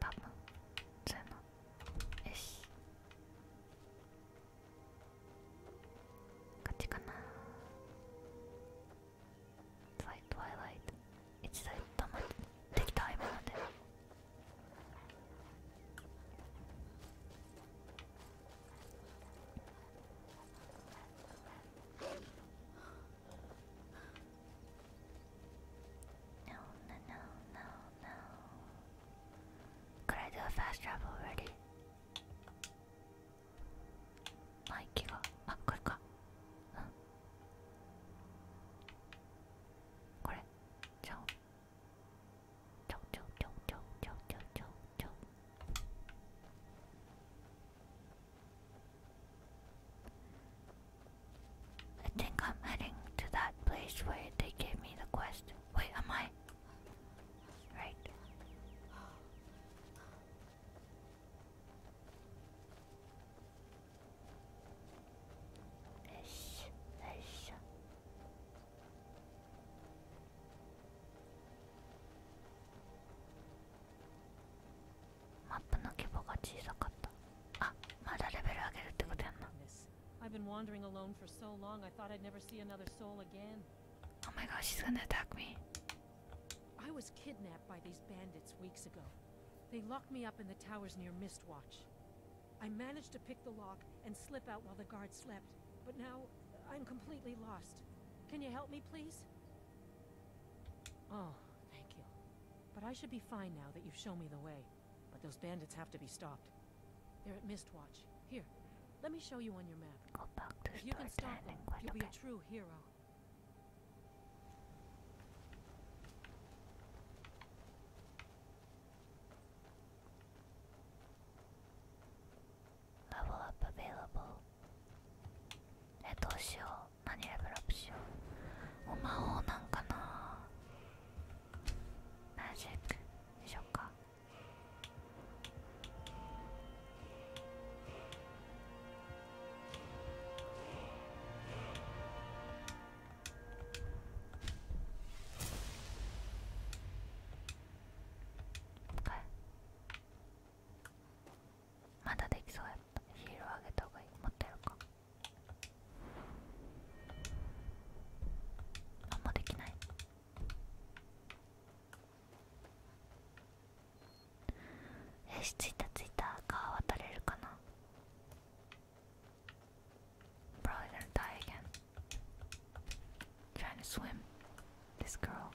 多分そうよし勝ちかな It's like t w i l i い。h t i できた今ので No, no, no, no, no. Could I do a fast travel already? My kill. Ah, quick. Huh? これじゃあ I think I'm heading to that place where they gave me the quest. Wait, am I? Right. This, this, i I've been wandering alone for so long I thought I'd never see another soul again. Oh my gosh, she's gonna attack me. I was kidnapped by these bandits weeks ago. They locked me up in the towers near Mistwatch. I managed to pick the lock and slip out while the guard slept, but now I'm completely lost. Can you help me, please? Oh, thank you. But I should be fine now that you've shown me the way. But those bandits have to be stopped. They're at Mistwatch. Here, let me show you on your map. if you can stop them, you'll be a true hero. Level up a v a i l a b えどうしよう何レベルアップしようお魔法なんかなマジックでしょうかはえ。まだできそうやったヒールをあげた方がいい持ってるかあんまできないよし着いたついた川渡れるかな Probably gonna die again. Trying to swim. This girl.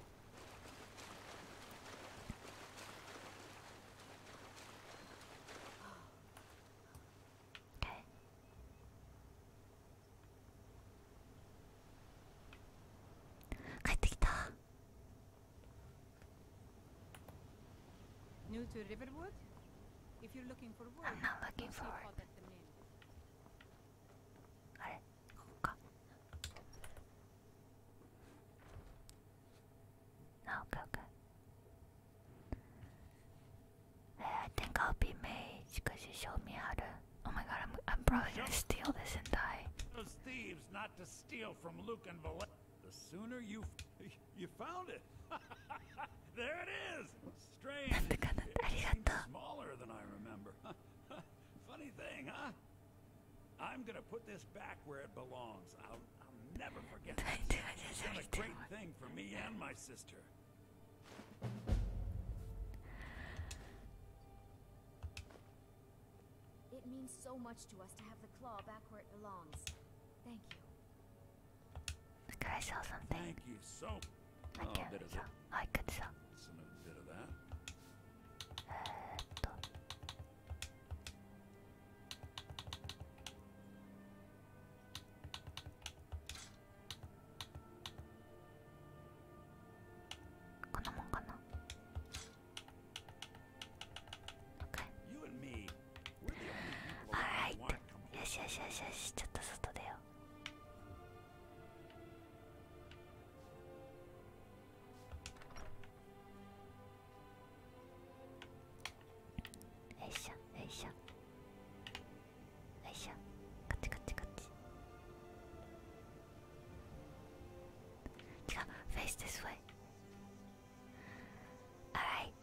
Okay. New to Riverwood? If you're looking for wood, I'm not looking for wood. あれここかあ、oh, okay, okay. Hey, I think I'll be mage because you showed me how to. Oh my god, I'm, I'm probably gonna steal this and die. Those thieves not to steal from Luke and Valette. The sooner you you found it, there it is, Smaller than I remember. Funny thing, huh? I'm gonna put this back where it belongs. I'll, never forget will It's been a great thing for me and my sister. It means so much to us to have the claw back where it belongs. Thank you. Could I sell something? Thank you so I oh, can't sell. Oh, I could sell. Some bit of that. Uh, to. Okay. You and me. All right. Yes, yes, yes, yes. ちょっと外出よう。よいしょよいしょよいしょカチカチカチ Come, face this way. Alright.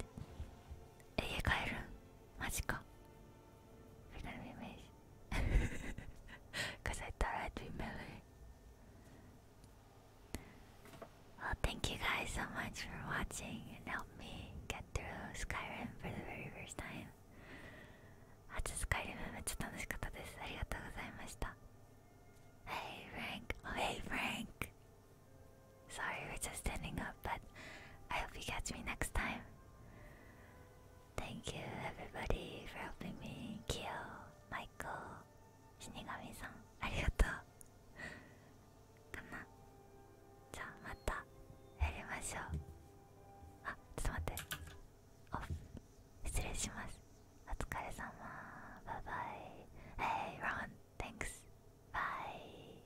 家帰るんマジか Final image. Because I thought I'd remember. Well, thank you guys so much for watching and help me get through Skyrim for the very first time. 初スカイリムめっちゃ楽しかったです。ありがとうございました。Hey Frank! Oh, hey Frank! Sorry we're just standing up, but I hope you catch me next time. Thank you everybody for helping me kill Michael Shinigami-san. ありがとう。かな。じゃあまたやりましょう。あ、ちょっと待って。オフ。失礼します。お疲れ様。バイバイ。Hey, ah, Ron. Thanks. Bye.